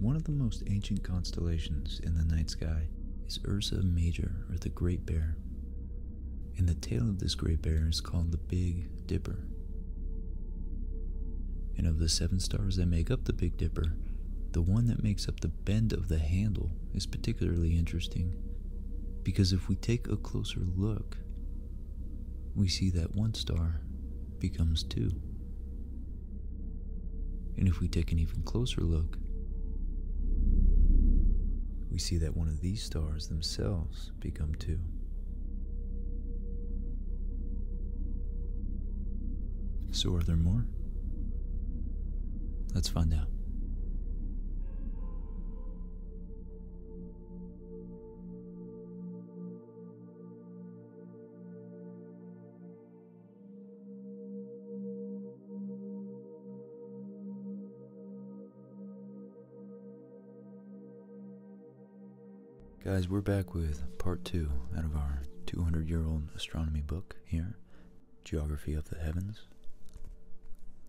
One of the most ancient constellations in the night sky is Ursa Major, or the Great Bear. And the tail of this Great Bear is called the Big Dipper. And of the seven stars that make up the Big Dipper, the one that makes up the bend of the handle is particularly interesting because if we take a closer look, we see that one star becomes 2. And if we take an even closer look, we see that one of these stars themselves become 2. So are there more? Let's find out. Guys, we're back with part two out of our 200 year old astronomy book here, Geography of the Heavens.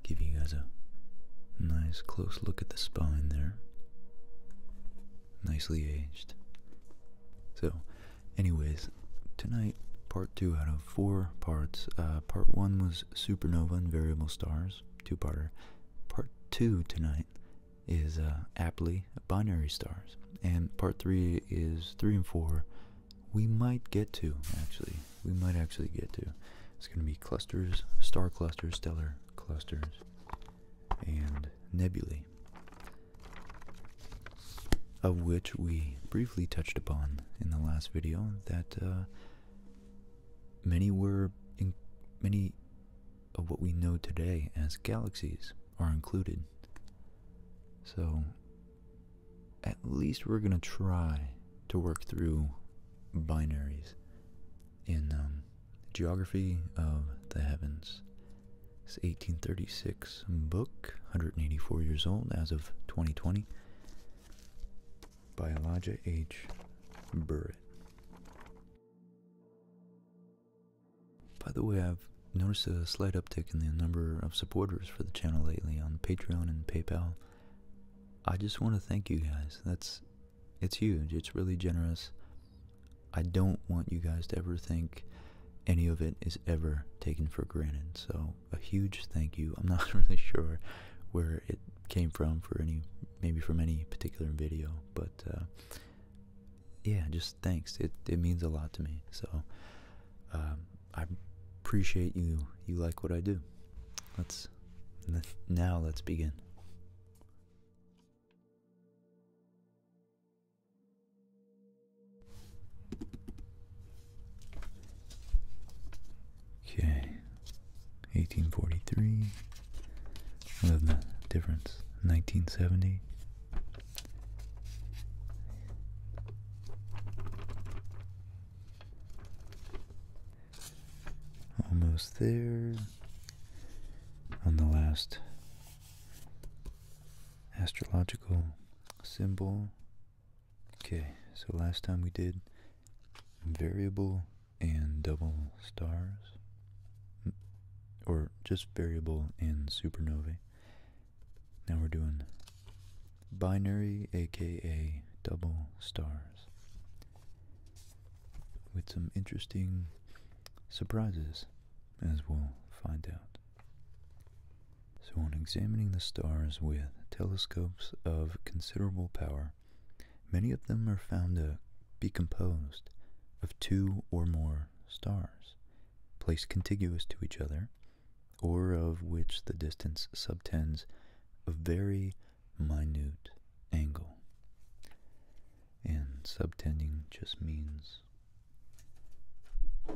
Give you guys a nice close look at the spine there nicely aged. So, anyways, tonight part two out of four parts. Uh, part one was supernova and variable stars, two-parter. Part two tonight is uh, aptly binary stars, and part three is three and four. We might get to actually. We might actually get to. It's going to be clusters, star clusters, stellar clusters, and nebulae, of which we briefly touched upon in the last video that uh, many were in many of what we know today as galaxies are included. So at least we're going to try to work through binaries in um, the Geography of the Heavens. It's 1836 book, 184 years old as of 2020, by Elijah H. Burritt. By the way, I've noticed a slight uptick in the number of supporters for the channel lately on Patreon and PayPal. I just want to thank you guys. That's it's huge. It's really generous. I don't want you guys to ever think any of it is ever taken for granted. So, a huge thank you. I'm not really sure where it came from for any, maybe from any particular video, but uh, yeah, just thanks. It, it means a lot to me. So, um, I appreciate you. You like what I do. Let's, now let's begin. Okay, 1843. Other than the difference, 1970. Almost there. On the last astrological symbol. Okay, so last time we did variable and double stars, or just variable and supernovae. Now we're doing binary, aka double stars, with some interesting surprises as we'll find out. So, on examining the stars with telescopes of considerable power, many of them are found to be composed of two or more stars placed contiguous to each other, or of which the distance subtends a very minute angle. And subtending just means this.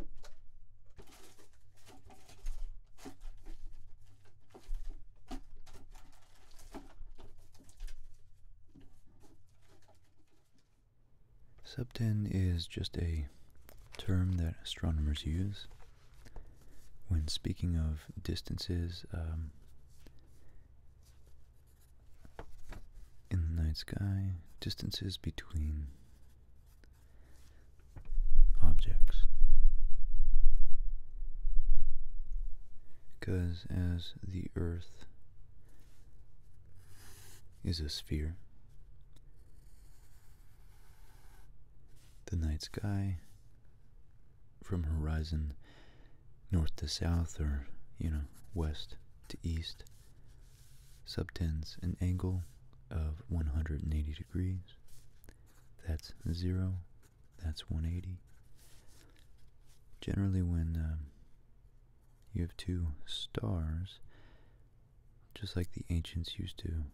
Septen is just a term that astronomers use when speaking of distances um, in the night sky, distances between objects. Because as the Earth is a sphere, the night sky from horizon north to south or, you know, west to east subtends an angle of 180 degrees. That's 0, that's 180. Generally when um, you have two stars, just like the ancients used to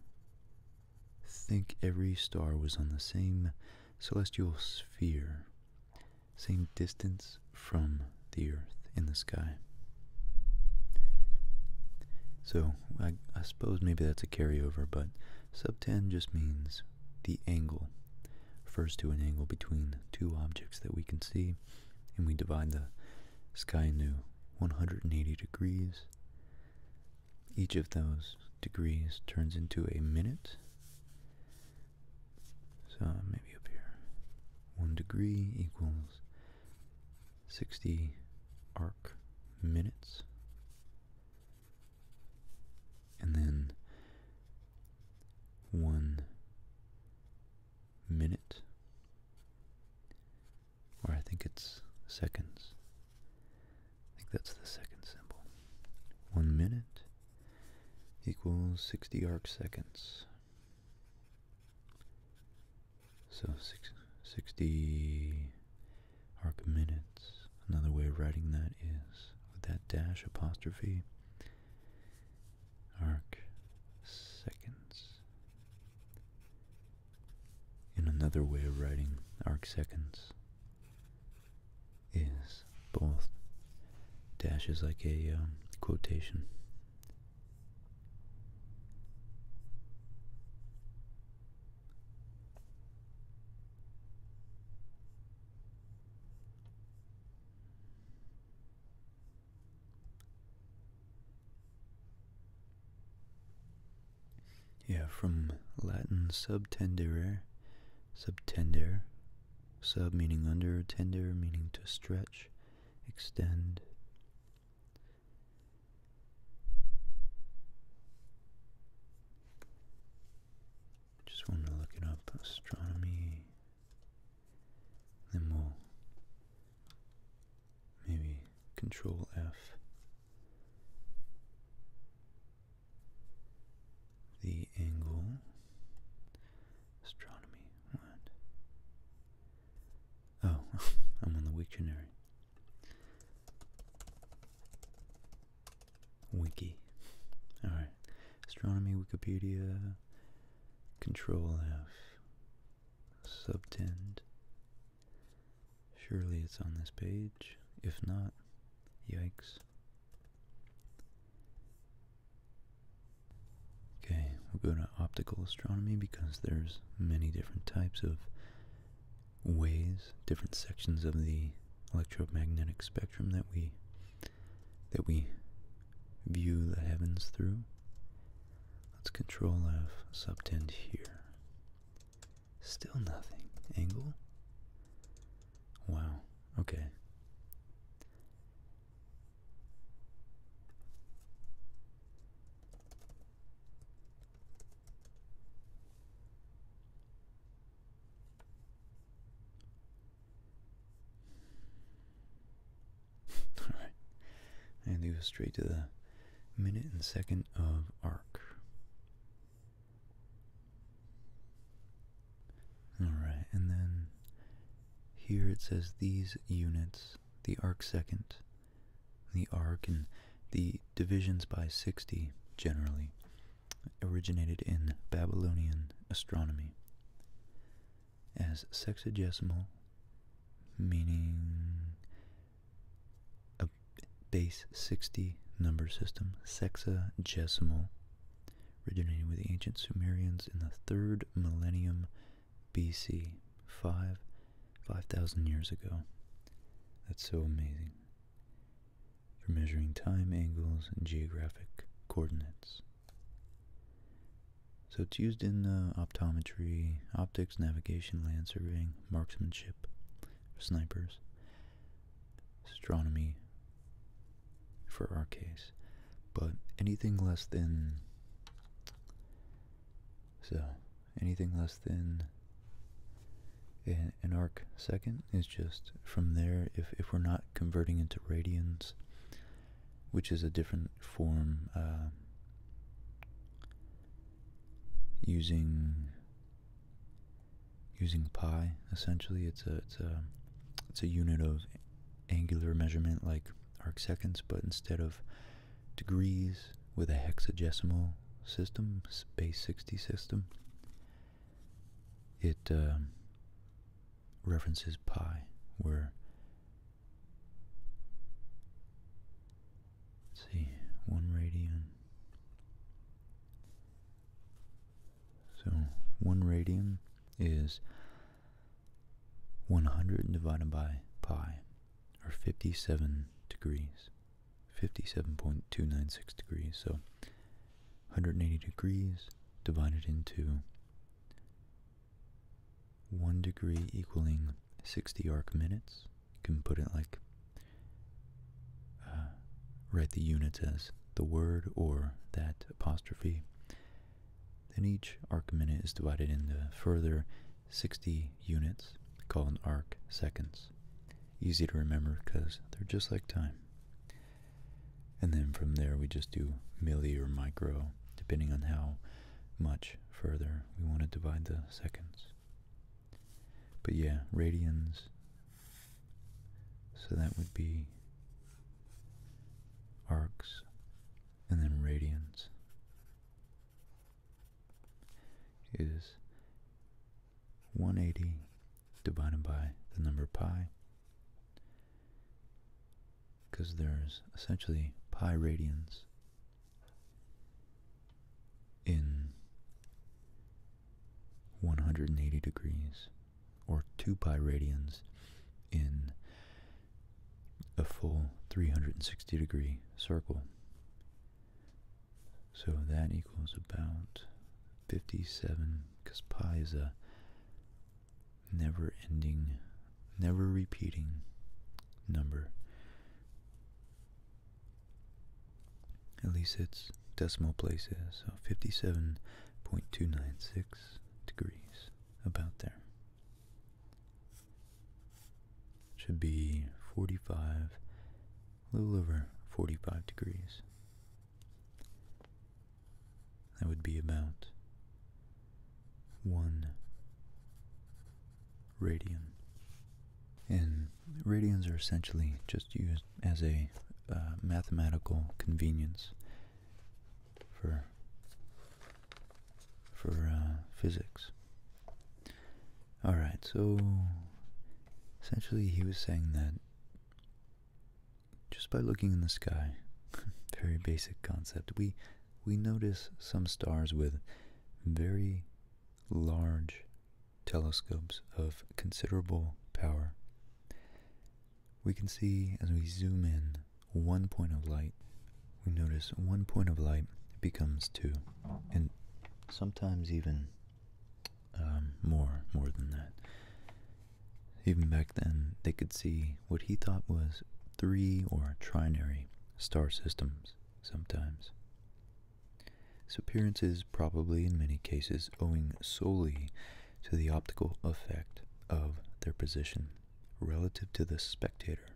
think every star was on the same celestial sphere, same distance from the Earth in the sky. So I, suppose maybe that's a carryover, but sub 10 just means the angle. Refers to an angle between two objects that we can see, and we divide the sky into 180 degrees. Each of those degrees turns into a minute, so maybe up here. 1 degree equals 60 arc minutes. And then 1 minute, or I think it's seconds. I think that's the second symbol. 1 minute equals 60 arc seconds. So 60 arc minutes. Another way of writing that is with that dash apostrophe arc seconds. In another way of writing arc seconds is both Dash is like a um, quotation. Yeah, from Latin sub tenderere, sub tender, sub meaning under, tender meaning to stretch, extend. just wanted to look it up, astronomy, then we'll maybe control F. The angle, astronomy. Oh, I'm on the Wiktionary. Wiki. Alright. Astronomy, Wikipedia, Control F, Subtend. Surely it's on this page. If not, yikes. Okay, we'll go to optical astronomy because there's many different types of ways, different sections of the electromagnetic spectrum that we that we view the heavens through. Let's control F subtend here. Still nothing. Angle. Wow. Okay. Alright, and do straight to the minute and second of arc. Alright, and then here it says these units, the arc second, the arc, and the divisions by 60 generally originated in Babylonian astronomy as sexagesimal, meaning a base 60 number system, sexagesimal, originating with the ancient Sumerians in the 3rd millennium BC, 5 5,000 years ago. That's so amazing. For measuring time, angles, and geographic coordinates. So it's used in uh, optometry, optics, navigation, land surveying, marksmanship, snipers, astronomy, for our case, but anything less than so anything less than an, arc second is just from there if, if we're not converting into radians which is a different form uh, using using pi essentially it's a it's a it's a unit of angular measurement like arc seconds, but instead of degrees with a hexadecimal system, base 60 system, it um, references pi, where, let's see, one radian. So one radian is 100 divided by pi, or 57 degrees, 57.296 degrees. So 180 degrees divided into 1 degree equaling 60 arc minutes. You can put it like, uh, write the units as the word or that apostrophe. Then each arc minute is divided into further 60 units called arc seconds. Easy to remember because they're just like time. And then from there we just do milli or micro, depending on how much further we want to divide the seconds. But yeah, radians, so that would be arcs and then radians is 180 divided by the number pi because there's essentially pi radians in 180 degrees or 2 pi radians in a full 360 degree circle. So that equals about 57, because pi is a never ending, never repeating number. At least its decimal places. so 57.296 degrees, about there should be 45, a little over 45 degrees. That would be about one radian. And radians are essentially just used as a uh, mathematical convenience for for uh, physics. All right, so essentially he was saying that just by looking in the sky, very basic concept, we we notice some stars with very large telescopes of considerable power. We can see as we zoom in one point of light, we notice one point of light becomes two, and sometimes even um, more, more than that. Even back then, they could see what he thought was three or trinary star systems sometimes. This appearance is probably in many cases owing solely to the optical effect of their position relative to the spectator.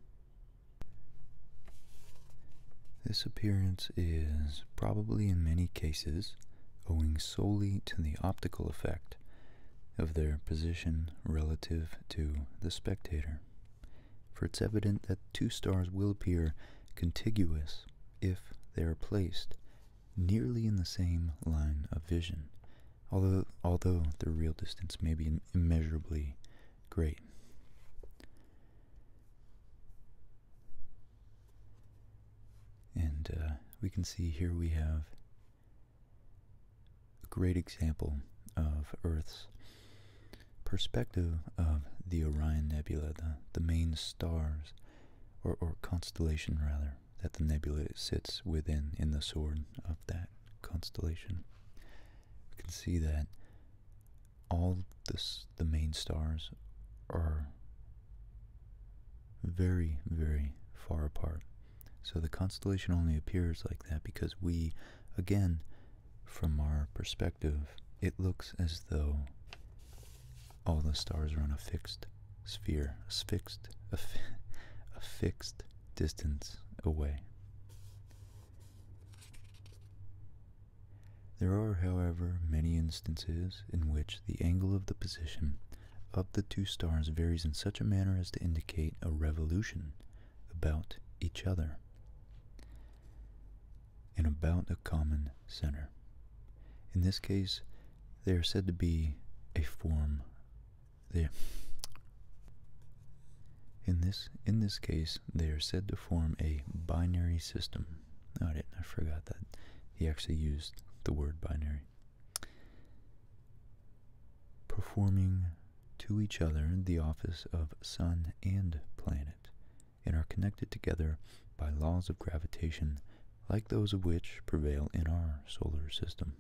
This appearance is probably in many cases owing solely to the optical effect of their position relative to the spectator, for it's evident that two stars will appear contiguous if they are placed nearly in the same line of vision, although although the real distance may be immeasurably great. And uh, we can see here we have a great example of Earth's perspective of the Orion Nebula, the, the main stars, or, or constellation rather, that the nebula sits within in the sword of that constellation, we can see that all this, the main stars are very, very far apart. So the constellation only appears like that because we, again, from our perspective, it looks as though all the stars are on a fixed sphere, a fixed, a fixed distance away. There are, however, many instances in which the angle of the position of the two stars varies in such a manner as to indicate a revolution about each other and about a common center. In this case, they are said to be a form there. In this in this case, they are said to form a binary system. Oh, I I forgot that he actually used the word binary. Performing to each other the office of sun and planet, and are connected together by laws of gravitation like those of which prevail in our solar system.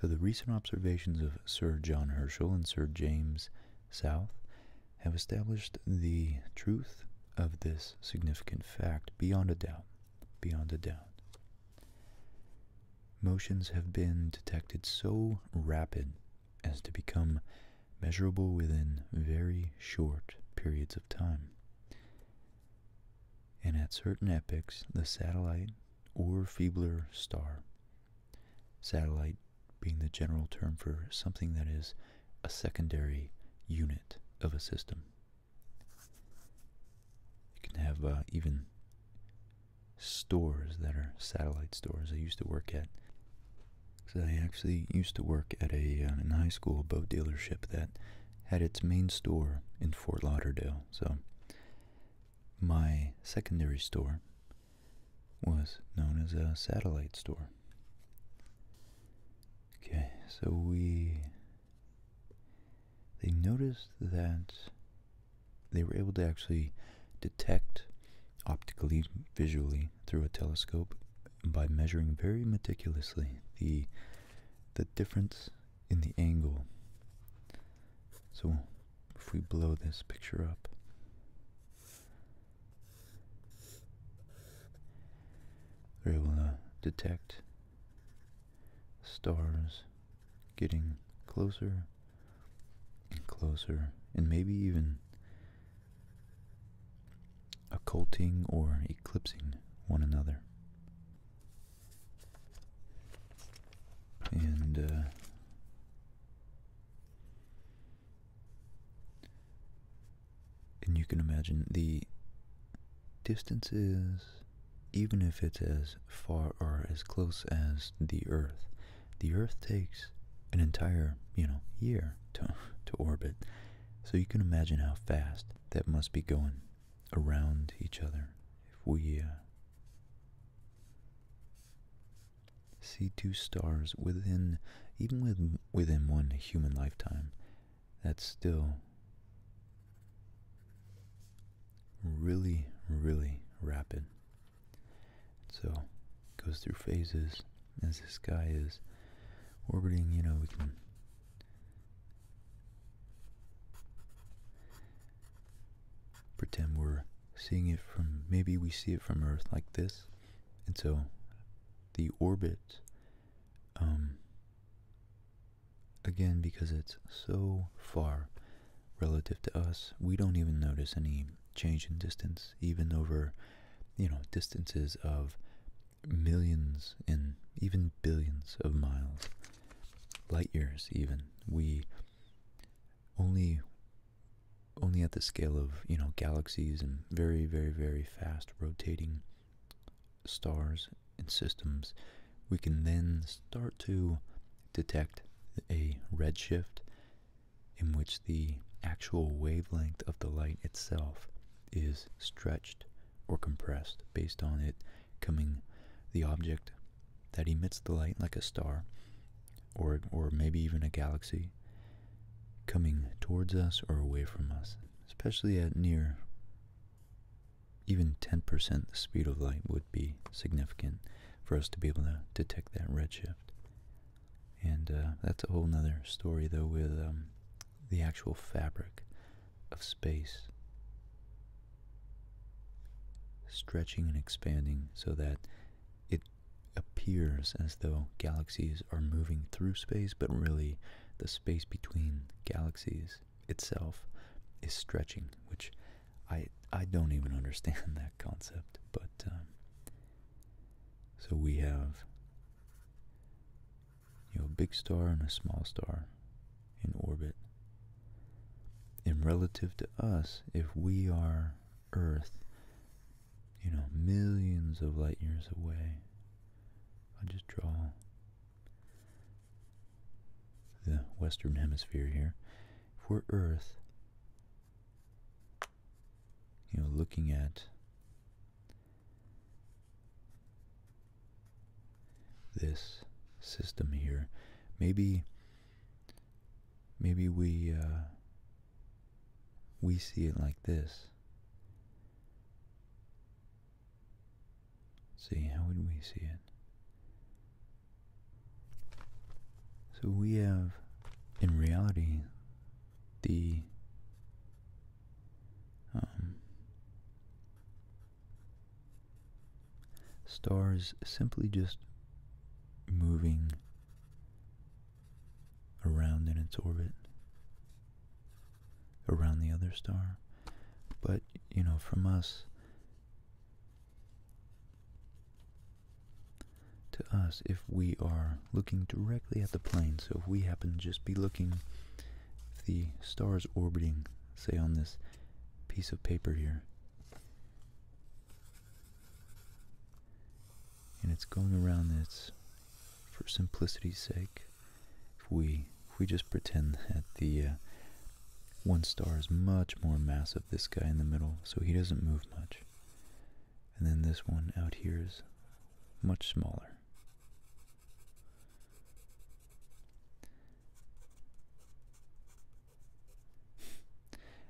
So the recent observations of Sir John Herschel and Sir James South have established the truth of this significant fact beyond a doubt, beyond a doubt. Motions have been detected so rapid as to become measurable within very short periods of time and at certain epochs the satellite or feebler star. Satellite being the general term for something that is a secondary unit of a system. You can have uh, even stores that are satellite stores. I used to work at, because I actually used to work at a uh, in high school boat dealership that had its main store in Fort Lauderdale. So my secondary store was known as a satellite store. Okay, so we. They noticed that they were able to actually detect optically, visually, through a telescope by measuring very meticulously the the difference in the angle. So if we blow this picture up, we're able to detect stars getting closer and closer, and maybe even occulting or eclipsing one another and uh, and you can imagine the distances even if it's as far or as close as the earth the earth takes an entire you know year to to orbit so you can imagine how fast that must be going around each other, if we uh, see two stars within, even within one human lifetime, that's still really, really rapid. So, goes through phases as the sky is orbiting, you know, we can pretend we're seeing it from maybe we see it from Earth like this, and so the orbit, um, again, because it's so far relative to us, we don't even notice any change in distance, even over, you know, distances of millions and even billions of miles, light years even. We only only at the scale of you know galaxies and very very very fast rotating stars and systems we can then start to detect a redshift in which the actual wavelength of the light itself is stretched or compressed based on it coming the object that emits the light like a star or or maybe even a galaxy coming towards us or away from us especially at near even 10% the speed of light would be significant for us to be able to detect that redshift and uh, that's a whole nother story though with um, the actual fabric of space stretching and expanding so that it appears as though galaxies are moving through space, but really the space between galaxies itself is stretching, which I I don't even understand that concept, but um, so we have you know a big star and a small star in orbit. And relative to us, if we are Earth, you know, millions of light years away, I just draw the Western Hemisphere here. If we're Earth, you know, looking at this system here, maybe Maybe we uh, we see it like this. See, how would we see it? So we have, in reality, the um, stars simply just moving around in its orbit around the other star. But, you know, from us, to us, if we are looking directly at the plane, so if we happen to just be looking, if the star's orbiting, say on this piece of paper here, and it's going around this, for simplicity's sake, if we, if we just pretend that the uh, one star is much more massive, this guy in the middle, so he doesn't move much. And then this one out here is much smaller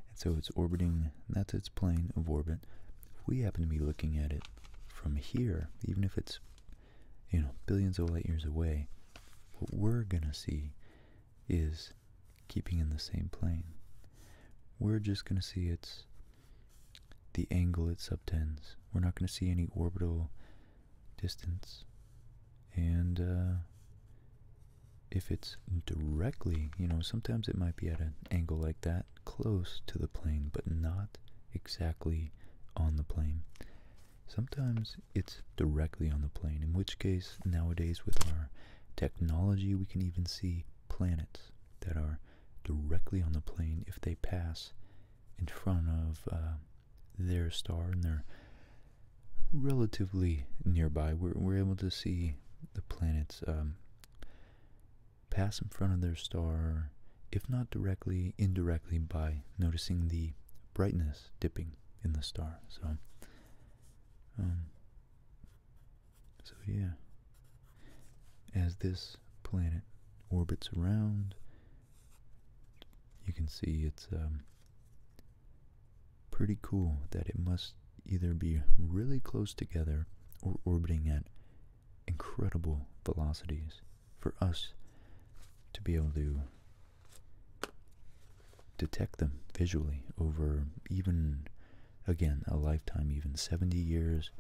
and so it's orbiting, that's its plane of orbit. If we happen to be looking at it from here, even if it's, you know, billions of light years away, what we're going to see is keeping in the same plane. We're just going to see its the angle it subtends. We're not going to see any orbital distance. And uh, if it's directly, you know, sometimes it might be at an angle like that, close to the plane, but not exactly on the plane. Sometimes it's directly on the plane, in which case, nowadays with our technology, we can even see planets that are directly on the plane if they pass in front of uh, their star and their relatively nearby. We're, we're able to see the planets um, pass in front of their star, if not directly, indirectly by noticing the brightness dipping in the star. So, um, so yeah, as this planet orbits around, you can see it's um, Pretty cool that it must either be really close together or orbiting at incredible velocities for us to be able to detect them visually over even, again, a lifetime, even 70 years.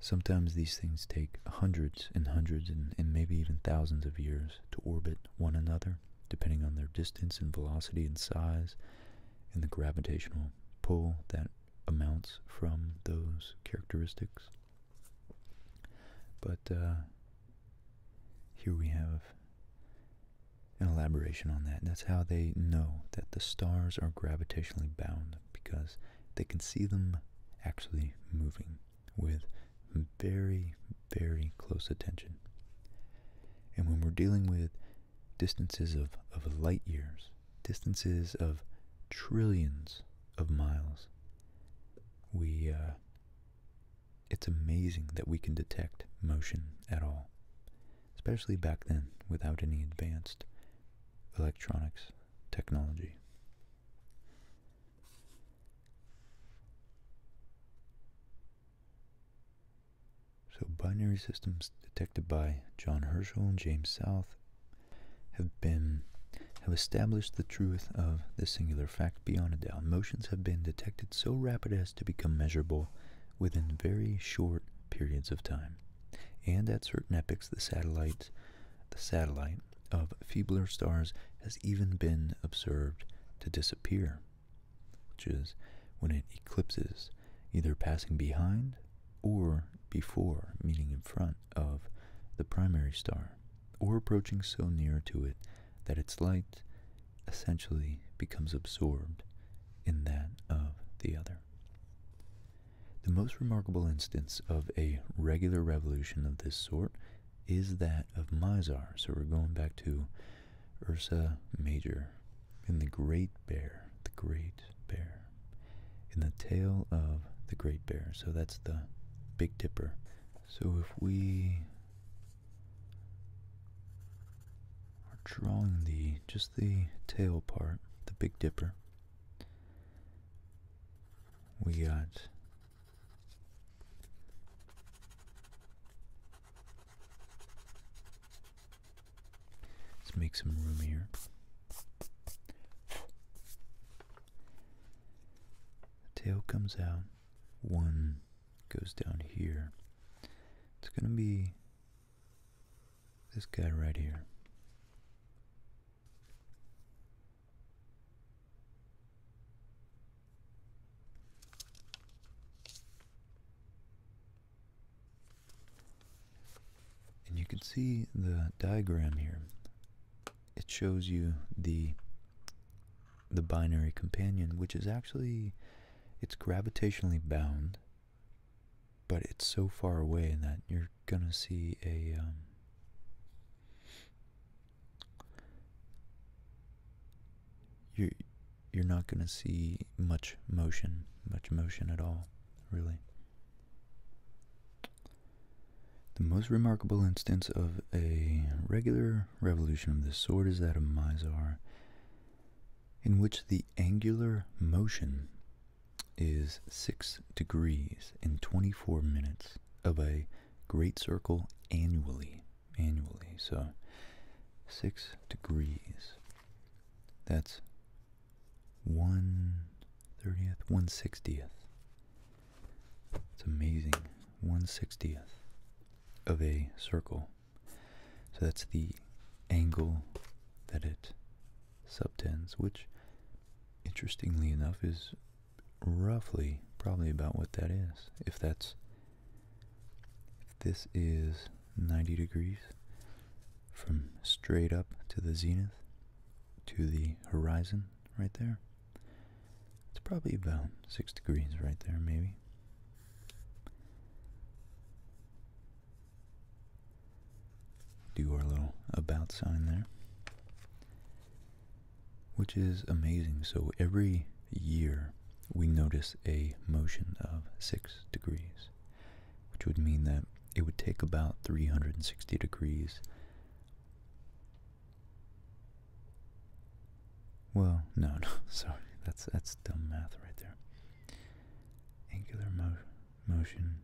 Sometimes these things take hundreds and hundreds and, maybe even thousands of years to orbit one another depending on their distance and velocity and size, and the gravitational pull that amounts from those characteristics. But uh, here we have an elaboration on that. And that's how they know that the stars are gravitationally bound because they can see them actually moving with very, very close attention. And when we're dealing with distances of, of light years, distances of trillions of miles, we uh, it's amazing that we can detect motion at all, especially back then without any advanced electronics technology. So binary systems detected by John Herschel and James South have been have established the truth of this singular fact beyond a doubt. Motions have been detected so rapid as to become measurable within very short periods of time. And at certain epochs the satellite of feebler stars has even been observed to disappear which is when it eclipses, either passing behind or before, meaning in front of, the primary star, or approaching so near to it that its light essentially becomes absorbed in that of the other. The most remarkable instance of a regular revolution of this sort is that of Mizar. So we're going back to Ursa Major, in The Great Bear, The Great Bear, in The tail of the Great Bear. So that's the Big Dipper. So if we are drawing the just the tail part, the Big Dipper, we got Let's make some room here. The tail comes out, one goes down here. It's going to be this guy right here. And you can see the diagram here. It shows you the the binary companion, which is actually it's gravitationally bound, but it's so far away that you're gonna see a um, you you're not going to see much motion, much motion at all, really. The most remarkable instance of a regular revolution of this sort is that of Mizar, in which the angular motion is 6 degrees in 24 minutes of a great circle annually annually. So 6 degrees, that's 1 30th, 1 60th. It's amazing. 1 60th of a circle. So that's the angle that it subtends, which interestingly enough is roughly probably about what that is, if that's if this is 90 degrees from straight up to the zenith to the horizon right there, it's probably about 6 degrees right there, maybe. Do our little about sign there, which is amazing. So every year we notice a motion of 6 degrees, which would mean that it would take about 360 degrees. Well, no, no, sorry, that's that's dumb math right there. Angular mo motion.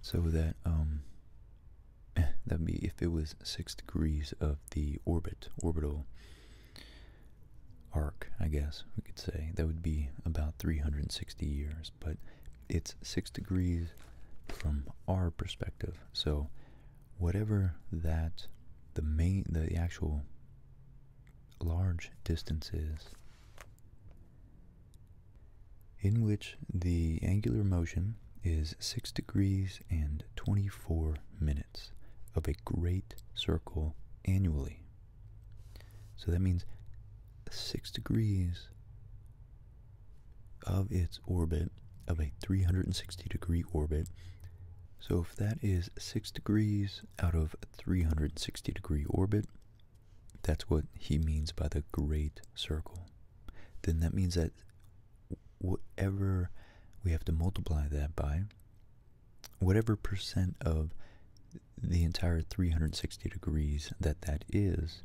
So that um, eh, that'd be if it was six degrees of the orbit, orbital arc, I guess we could say. That would be about 360 years, but it's six degrees from our perspective. So whatever that the main the actual large distance is in which the angular motion is 6 degrees and 24 minutes of a great circle annually. So that means 6 degrees of its orbit, of a 360 degree orbit. So if that is 6 degrees out of 360 degree orbit, that's what he means by the great circle. Then that means that whatever we have to multiply that by, whatever percent of the entire 360 degrees that that is,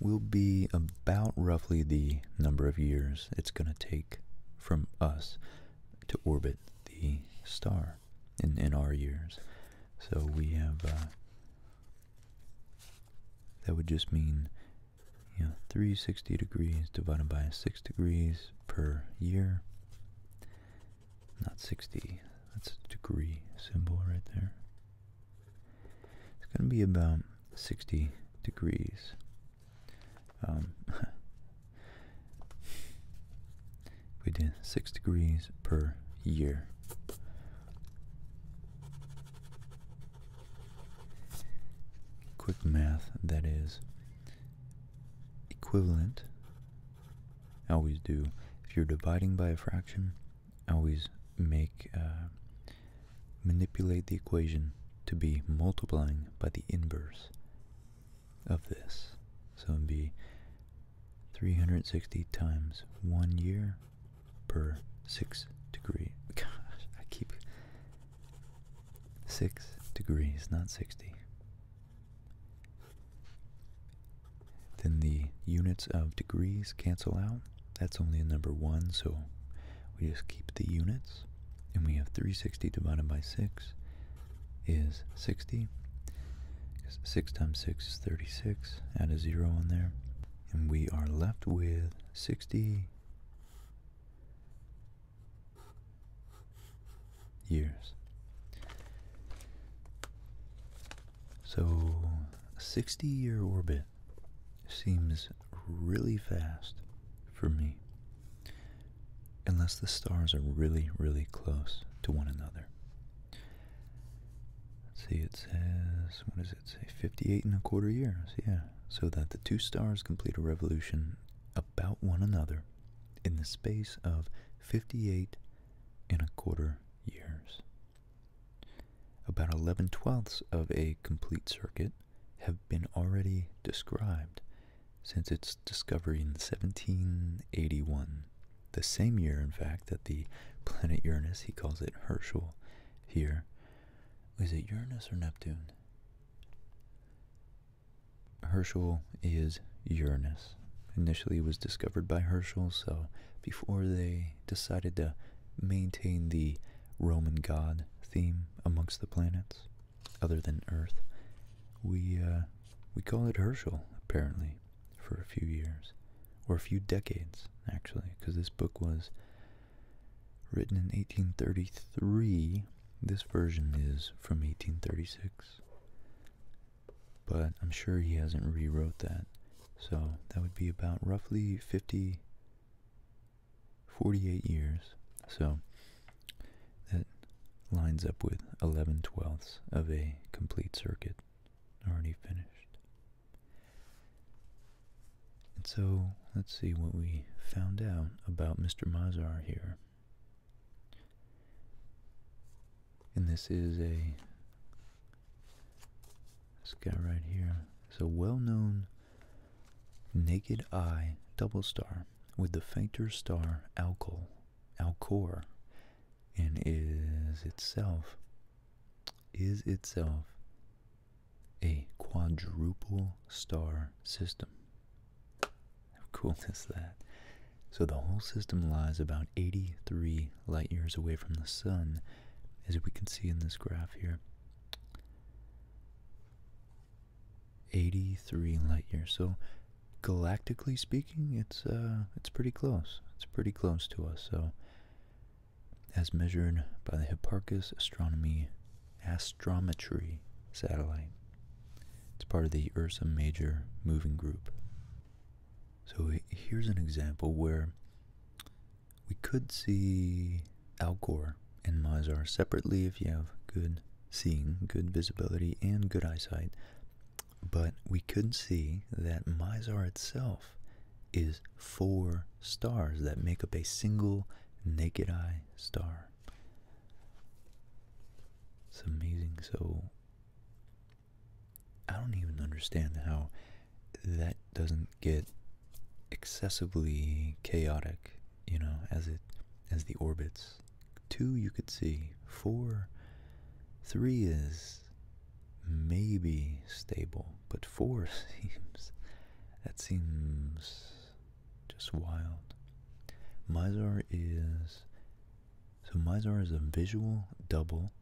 will be about roughly the number of years it's going to take from us to orbit the star in, in our years. So we have uh, that would just mean, you 360 degrees divided by 6 degrees per year. Not 60, that's a degree symbol right there. It's going to be about 60 degrees. Um, we did 6 degrees per year. Quick math that is equivalent. I always do. If you're dividing by a fraction, I always make uh, manipulate the equation to be multiplying by the inverse of this. So it'd be 360 times one year per 6 degree. Gosh, I keep 6 degrees, not 60. Then the units of degrees cancel out. That's only a number 1, so we just keep the units. And we have 360 divided by 6 is 60. 6 times 6 is 36. Add a 0 on there and we are left with 60 years. So, 60 year orbit seems really fast for me, unless the stars are really, really close to one another see, it says, what does it say? 58 and a quarter years, yeah. So that the two stars complete a revolution about one another in the space of 58 and a quarter years. About 11 twelfths of a complete circuit have been already described since its discovery in 1781, the same year, in fact, that the planet Uranus, he calls it Herschel, here. Is it Uranus or Neptune? Herschel is Uranus. Initially, was discovered by Herschel, so before they decided to maintain the Roman god theme amongst the planets, other than Earth, we uh, we called it Herschel apparently for a few years or a few decades actually, because this book was written in 1833. This version is from 1836, but I'm sure he hasn't rewrote that. So that would be about roughly 50, 48 years. So that lines up with 11 twelfths of a complete circuit already finished. And so, let's see what we found out about Mr. Mazar here. And this is a, this guy right here, it's a well-known naked eye double star with the fainter star Alcor, Alcor and is itself is itself a quadruple star system. How cool is that? So the whole system lies about 83 light years away from the sun, as we can see in this graph here. 83 light years. So galactically speaking, it's uh, it's pretty close. It's pretty close to us. So as measured by the Hipparchus astronomy astrometry satellite. It's part of the Ursa Major moving group. So here's an example where we could see Alcor and Mizar separately if you have good seeing, good visibility, and good eyesight. But we could not see that Mizar itself is four stars that make up a single naked eye star. It's amazing. So I don't even understand how that doesn't get excessively chaotic, you know, as it as the orbits. Two you could see. Four three is maybe stable, but four seems that seems just wild. Mizar is so Mizar is a visual double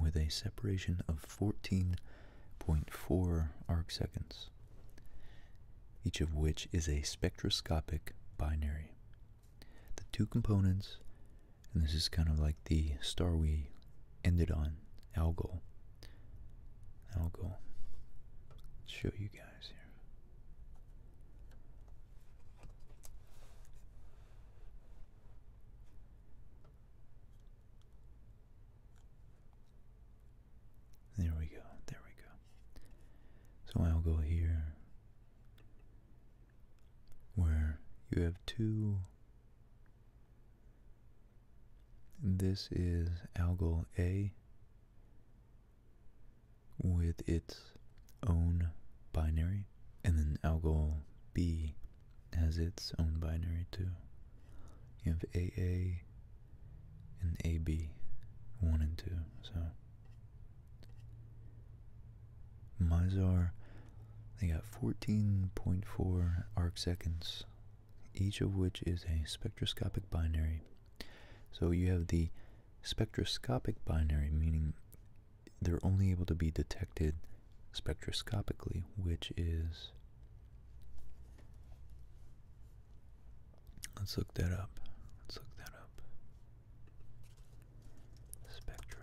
with a separation of 14.4 arc seconds, each of which is a spectroscopic binary. The two components, and this is kind of like the star we ended on Algol. Algol. show you guys here. There we go. There we go. So I'll go here where you have two this is Algol A with its own binary, and then Algol B has its own binary too. You have AA and AB, 1 and 2, so. Mizar, they got 14.4 arcseconds each of which is a spectroscopic binary. So you have the spectroscopic binary, meaning they're only able to be detected spectroscopically, which is. Let's look that up. Let's look that up. Spectro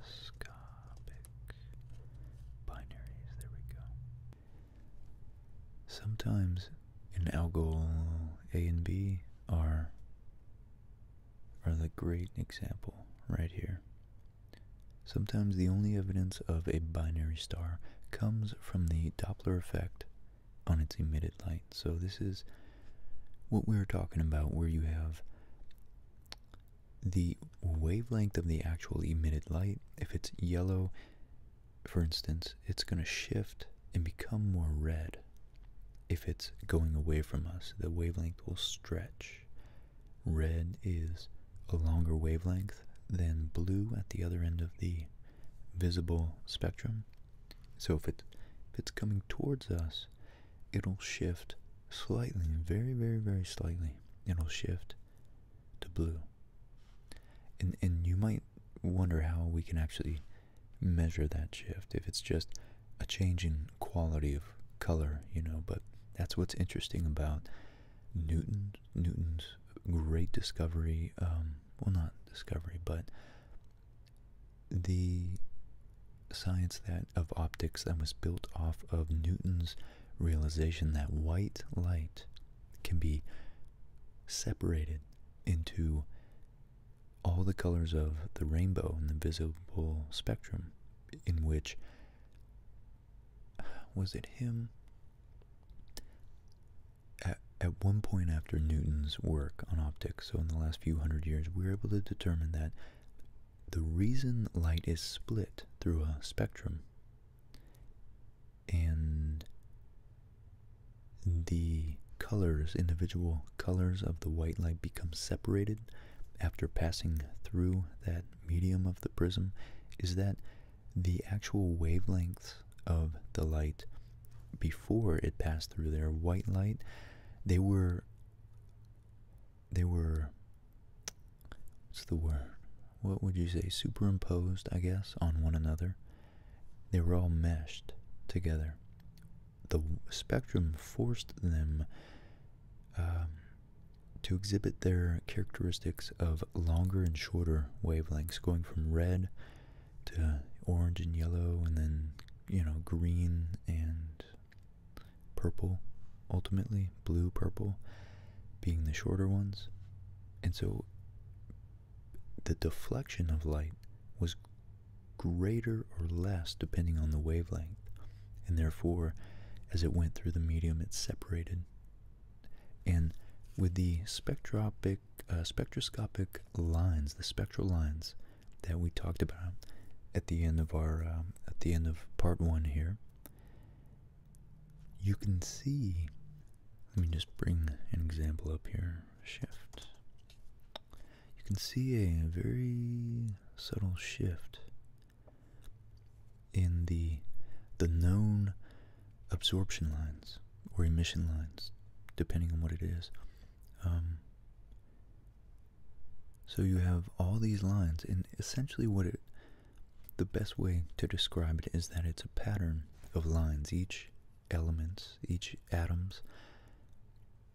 Scopic binaries. There we go. Sometimes in algol A and B are are the great example right here. Sometimes the only evidence of a binary star comes from the Doppler effect on its emitted light. So this is what we are talking about where you have the wavelength of the actual emitted light, if it's yellow, for instance, it's going to shift and become more red. If it's going away from us, the wavelength will stretch. Red is a longer wavelength than blue at the other end of the visible spectrum. So if, it, if it's coming towards us, it'll shift slightly, very, very, very slightly, it'll shift to blue. And, and you might wonder how we can actually measure that shift, if it's just a change in quality of color, you know, but that's what's interesting about Newton, Newton's great discovery, um, well, not discovery, but the science that of optics that was built off of Newton's realization that white light can be separated into all the colors of the rainbow in the visible spectrum, in which was it him? At, at one point after Newton's work on optics, so in the last few hundred years, we were able to determine that the reason light is split through a spectrum and the colors, individual colors of the white light become separated after passing through that medium of the prism is that the actual wavelengths of the light before it passed through their white light, they were they were what's the word? What would you say? Superimposed, I guess, on one another. They were all meshed together. The spectrum forced them um, to exhibit their characteristics of longer and shorter wavelengths, going from red to orange and yellow, and then you know green and purple, ultimately blue purple being the shorter ones. And so the deflection of light was greater or less depending on the wavelength. And therefore, as it went through the medium, it separated. And with the spectroscopic, uh, spectroscopic lines, the spectral lines that we talked about at the end of our um, at the end of part one here, you can see, let me just bring an example up here, shift. You can see a very subtle shift in the the known absorption lines or emission lines, depending on what it is. Um, so you have all these lines, and essentially what it the best way to describe it is that it's a pattern of lines. Each elements, each atoms,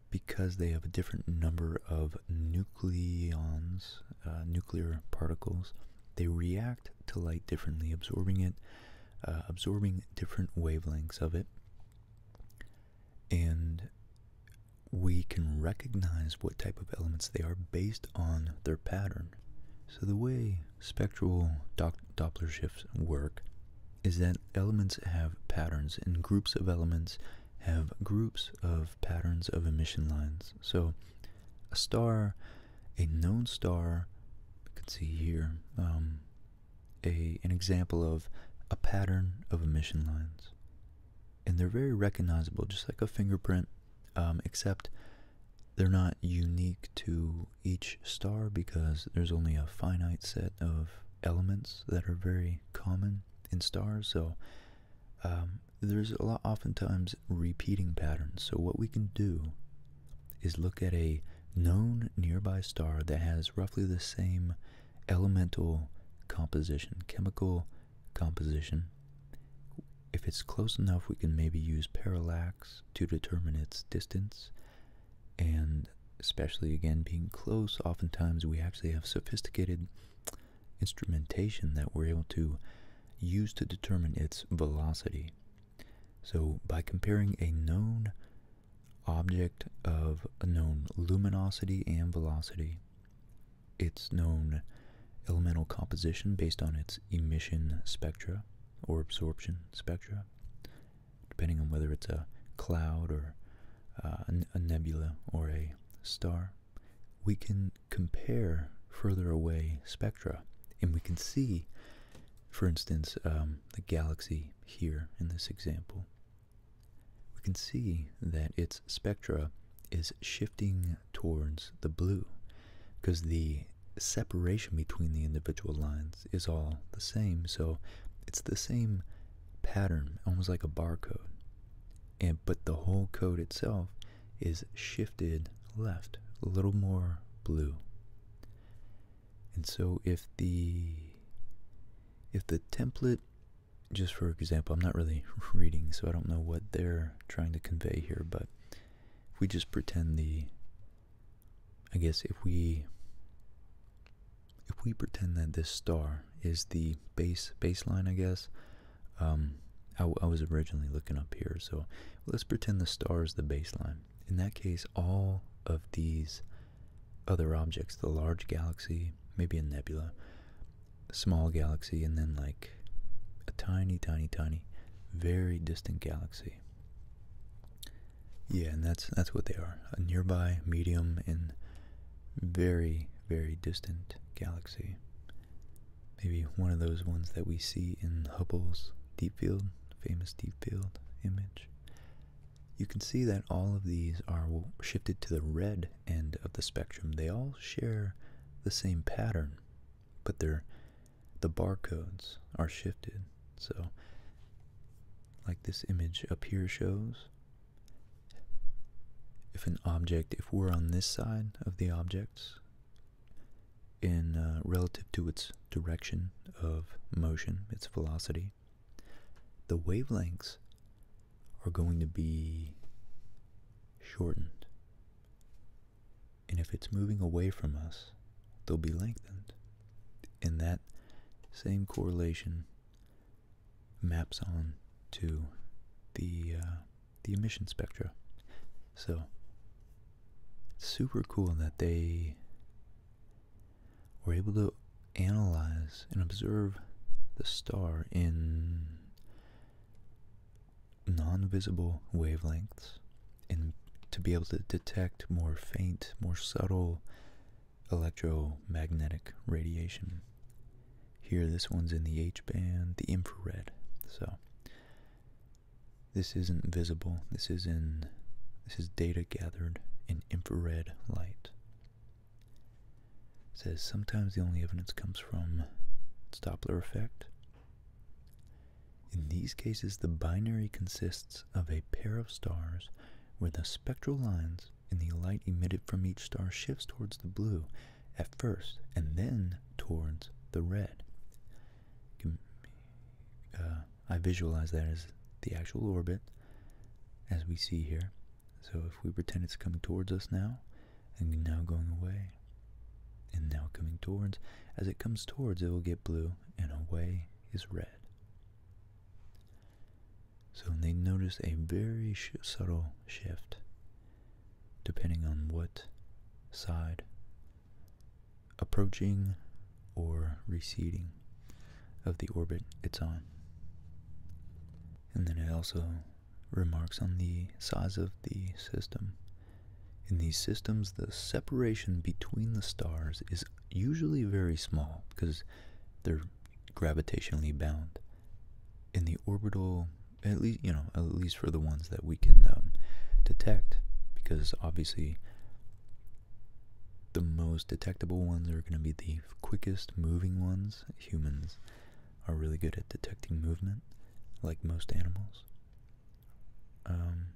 because they have a different number of nucleons, uh, nuclear particles, they react to light differently, absorbing it, uh, absorbing different wavelengths of it. And we can recognize what type of elements they are based on their pattern. So the way spectral Doppler shifts work is that elements have patterns and groups of elements have groups of patterns of emission lines. So a star, a known star, you can see here, um, a, an example of a pattern of emission lines and they're very recognizable, just like a fingerprint, um, except they're not unique to each star because there's only a finite set of elements that are very common in stars. So um, there's a lot, oftentimes, repeating patterns. So what we can do is look at a known nearby star that has roughly the same elemental composition, chemical composition. If it's close enough, we can maybe use parallax to determine its distance. And especially again, being close, oftentimes we actually have sophisticated instrumentation that we're able to use to determine its velocity. So by comparing a known object of a known luminosity and velocity, its known elemental composition based on its emission spectra or absorption spectra, depending on whether it's a cloud or uh, a nebula or a star. We can compare further away spectra and we can see, for instance, um, the galaxy here in this example. We can see that its spectra is shifting towards the blue because the separation between the individual lines is all the same. So it's the same pattern, almost like a barcode. And but the whole code itself is shifted left, a little more blue. And so if the if the template just for example, I'm not really reading, so I don't know what they're trying to convey here, but we just pretend the, I guess if we, if we pretend that this star is the base baseline, I guess, um, I was originally looking up here, so let's pretend the star is the baseline. In that case, all of these other objects, the large galaxy, maybe a nebula, small galaxy and then like a tiny, tiny, tiny, very distant galaxy. Yeah, and that's that's what they are: a nearby, medium, and very, very distant galaxy. Maybe one of those ones that we see in Hubble's deep field, famous deep field image. You can see that all of these are shifted to the red end of the spectrum. They all share the same pattern but they the barcodes are shifted so like this image up here shows if an object if we're on this side of the objects in uh, relative to its direction of motion its velocity the wavelengths are going to be shortened and if it's moving away from us, they'll be lengthened. And that same correlation maps on to the, uh, the emission spectra. So, it's super cool that they were able to analyze and observe the star in non-visible wavelengths and to be able to detect more faint, more subtle electromagnetic radiation. Here, this one's in the H band, the infrared. So this isn't visible. This is in this is data gathered in infrared light. says sometimes the only evidence comes from its Doppler effect, in these cases, the binary consists of a pair of stars where the spectral lines in the light emitted from each star shifts towards the blue at first and then towards the red. Uh, I visualize that as the actual orbit as we see here. So if we pretend it's coming towards us now, and now going away, and now coming towards. As it comes towards, it will get blue, and away is red. So they notice a very subtle shift depending on what side approaching or receding of the orbit it's on. And then it also remarks on the size of the system. In these systems, the separation between the stars is usually very small because they're gravitationally bound. In the orbital, at least you know, at least for the ones that we can um, detect, because obviously the most detectable ones are going to be the quickest moving ones. Humans are really good at detecting movement, like most animals. Um,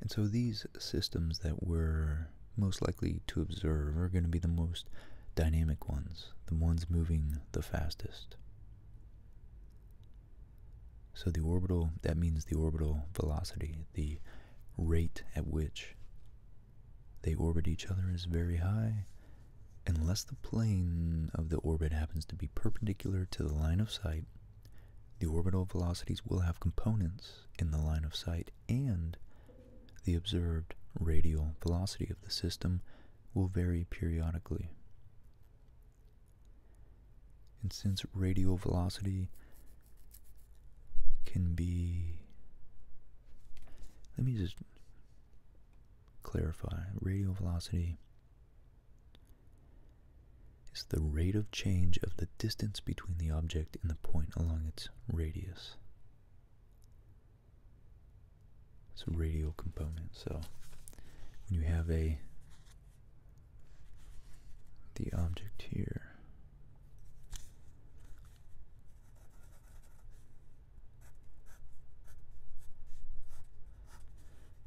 and so these systems that we're most likely to observe are going to be the most dynamic ones, the ones moving the fastest. So the orbital, that means the orbital velocity, the rate at which they orbit each other is very high, Unless the plane of the orbit happens to be perpendicular to the line of sight, the orbital velocities will have components in the line of sight and the observed radial velocity of the system will vary periodically. And since radial velocity can be, let me just clarify, radial velocity is the rate of change of the distance between the object and the point along its radius. It's a radial component, so when you have a the object here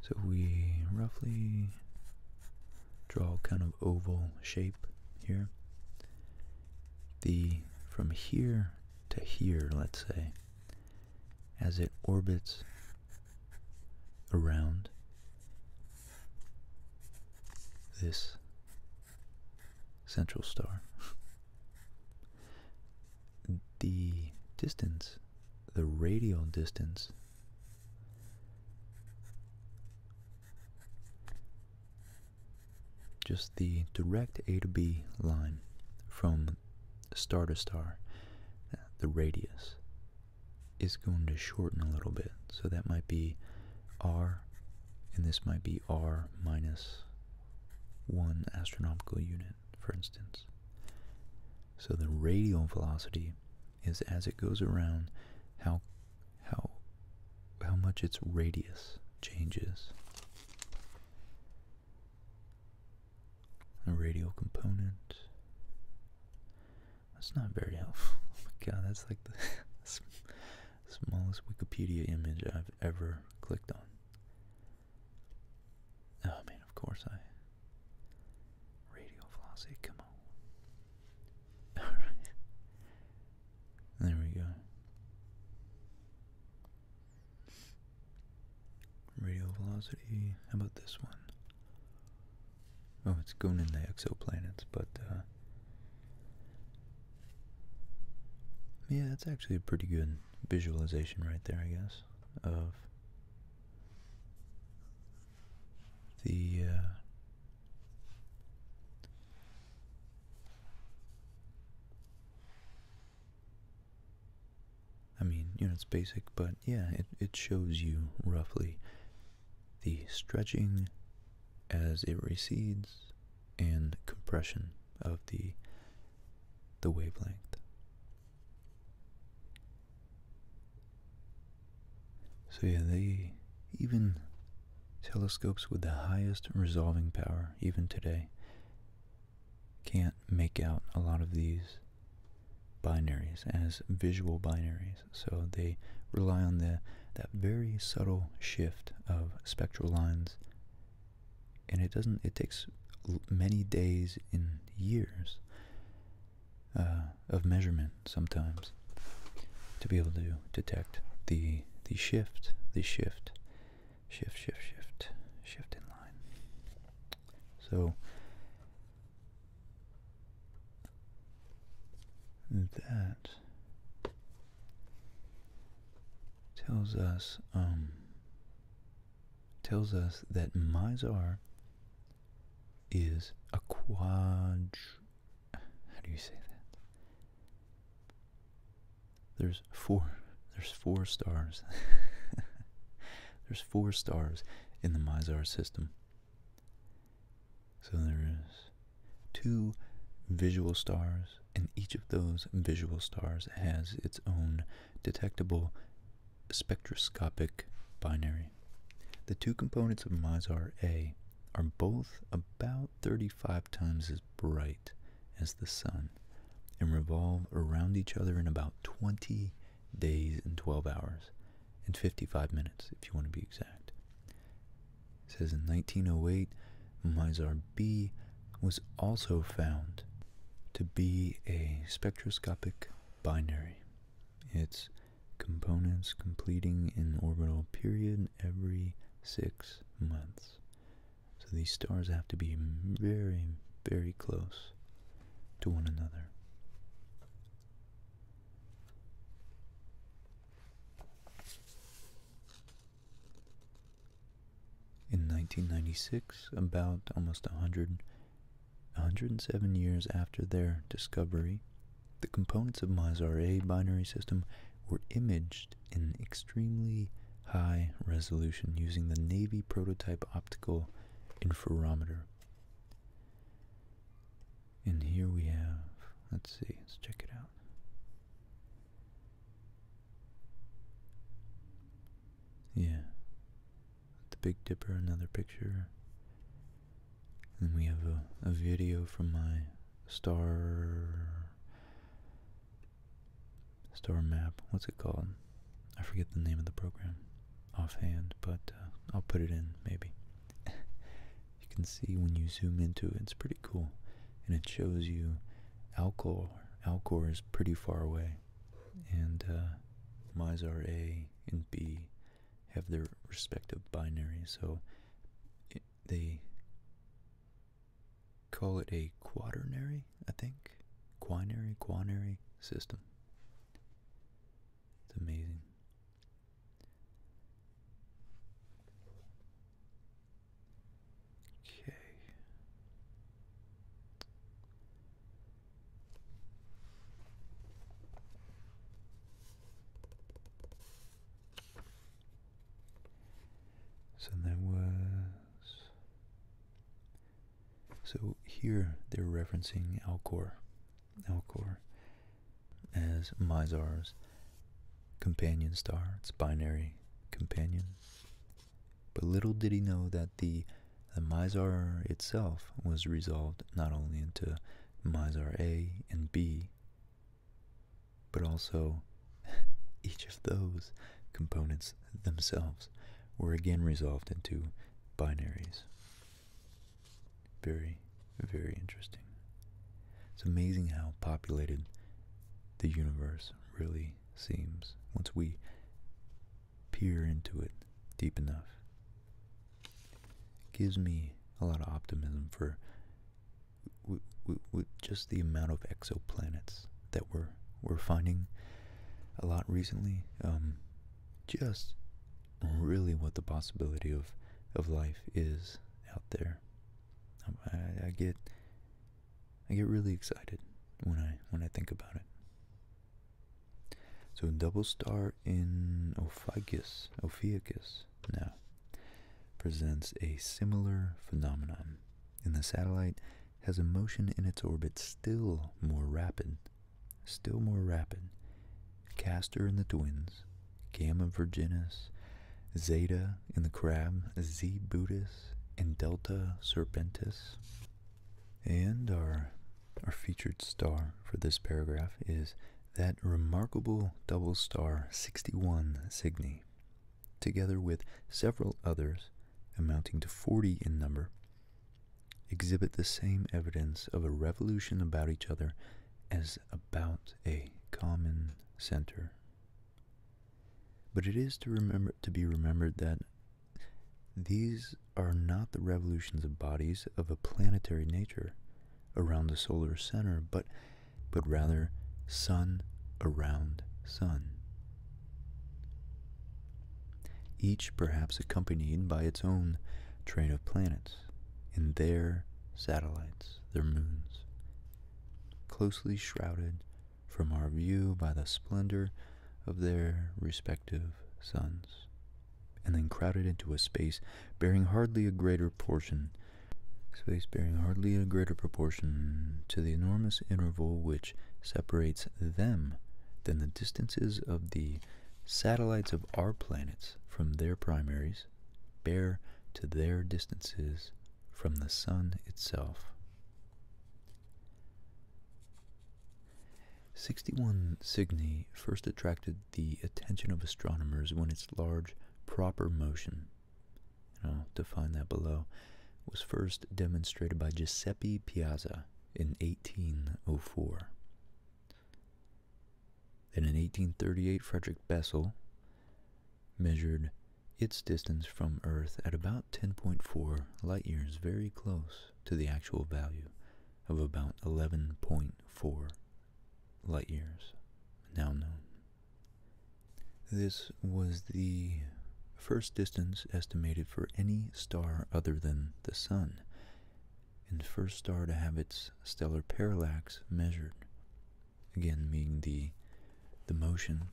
so we roughly draw kind of oval shape here. The from here to here, let's say, as it orbits around this central star. the distance the radial distance just the direct A to B line from star to star, the radius, is going to shorten a little bit. So that might be R, and this might be R minus 1 astronomical unit, for instance. So the radial velocity is as it goes around how how how much its radius changes. A radial component. That's not very helpful. Oh my god, that's like the smallest Wikipedia image I've ever clicked on. Oh, I mean, of course I. Radio Flossie, come on. Alright. There we go. Radio velocity. How about this one? Oh, it's going in the exoplanets, but uh, Yeah, that's actually a pretty good visualization right there, I guess, of the uh, I mean, you know, it's basic, but yeah, it, it shows you roughly the stretching as it recedes and compression of the the wavelength. So yeah, they even telescopes with the highest resolving power, even today, can't make out a lot of these binaries as visual binaries. So they rely on the that very subtle shift of spectral lines, and it doesn't. It takes many days and years uh, of measurement sometimes to be able to detect the the shift, the shift, shift, shift, shift, shift in line. So that tells us um, tells us that Mizar is a quad. How do you say that? There's four. There's four stars. there's four stars in the Mizar system. So there is two visual stars, and each of those visual stars has its own detectable spectroscopic binary. The two components of Mizar A are both about 35 times as bright as the sun and revolve around each other in about 20 days and 12 hours and 55 minutes if you want to be exact. says in 1908, Mizar B was also found to be a spectroscopic binary. It's components completing an orbital period every six months. So these stars have to be very, very close to one another. In 1996, about almost a 100 107 years after their discovery, the components of Mizar A binary system were imaged in extremely high resolution using the Navy prototype optical interferometer. And here we have, let's see, let's check it out. Yeah, the Big Dipper, another picture. And we have a, a video from my star star map. What's it called? I forget the name of the program offhand, but uh, I'll put it in maybe. you can see when you zoom into it, it's pretty cool, and it shows you Alcor. Alcor is pretty far away, and uh, Mizar A and B have their respective binaries, so they call it a quaternary, I think. Quinary, quinary system. It's amazing. Okay. So there was. So here they're referencing Alcor, Alcor as Mizar's companion star. It's binary companion. But little did he know that the the Mizar itself was resolved not only into Mizar A and B, but also each of those components themselves were again resolved into binaries. Very, very interesting. It's amazing how populated the universe really seems once we peer into it deep enough gives me a lot of optimism for just the amount of exoplanets that we're we're finding a lot recently. Um, just really what the possibility of of life is out there. Um, I, I get I get really excited when I when I think about it. So double star in Ophagus, Ophiuchus now presents a similar phenomenon, and the satellite has a motion in its orbit still more rapid, still more rapid. Castor and the twins, Gamma Virginis, Zeta in the crab, Z Buddhis, and Delta Serpentis, and our our featured star for this paragraph is that remarkable double star 61 Cygni, together with several others, amounting to 40 in number, exhibit the same evidence of a revolution about each other as about a common center. But it is to remember to be remembered that these are not the revolutions of bodies of a planetary nature around the solar center, but, but rather sun around sun. Each perhaps accompanied by its own train of planets and their satellites, their moons, closely shrouded from our view by the splendor of their respective suns and then crowded into a space bearing hardly a greater proportion, space bearing hardly a greater proportion to the enormous interval which separates them than the distances of the satellites of our planets from their primaries bear to their distances from the sun itself. 61 Cygni first attracted the attention of astronomers when its large proper motion, and I'll define that below, was first demonstrated by Giuseppe Piazzi in 1804. Then in 1838, Frederick Bessel measured its distance from Earth at about 10.4 light years, very close to the actual value of about 11.4 light years, now known. This was the first distance estimated for any star other than the Sun, and first star to have its stellar parallax measured, again meaning the, the motion.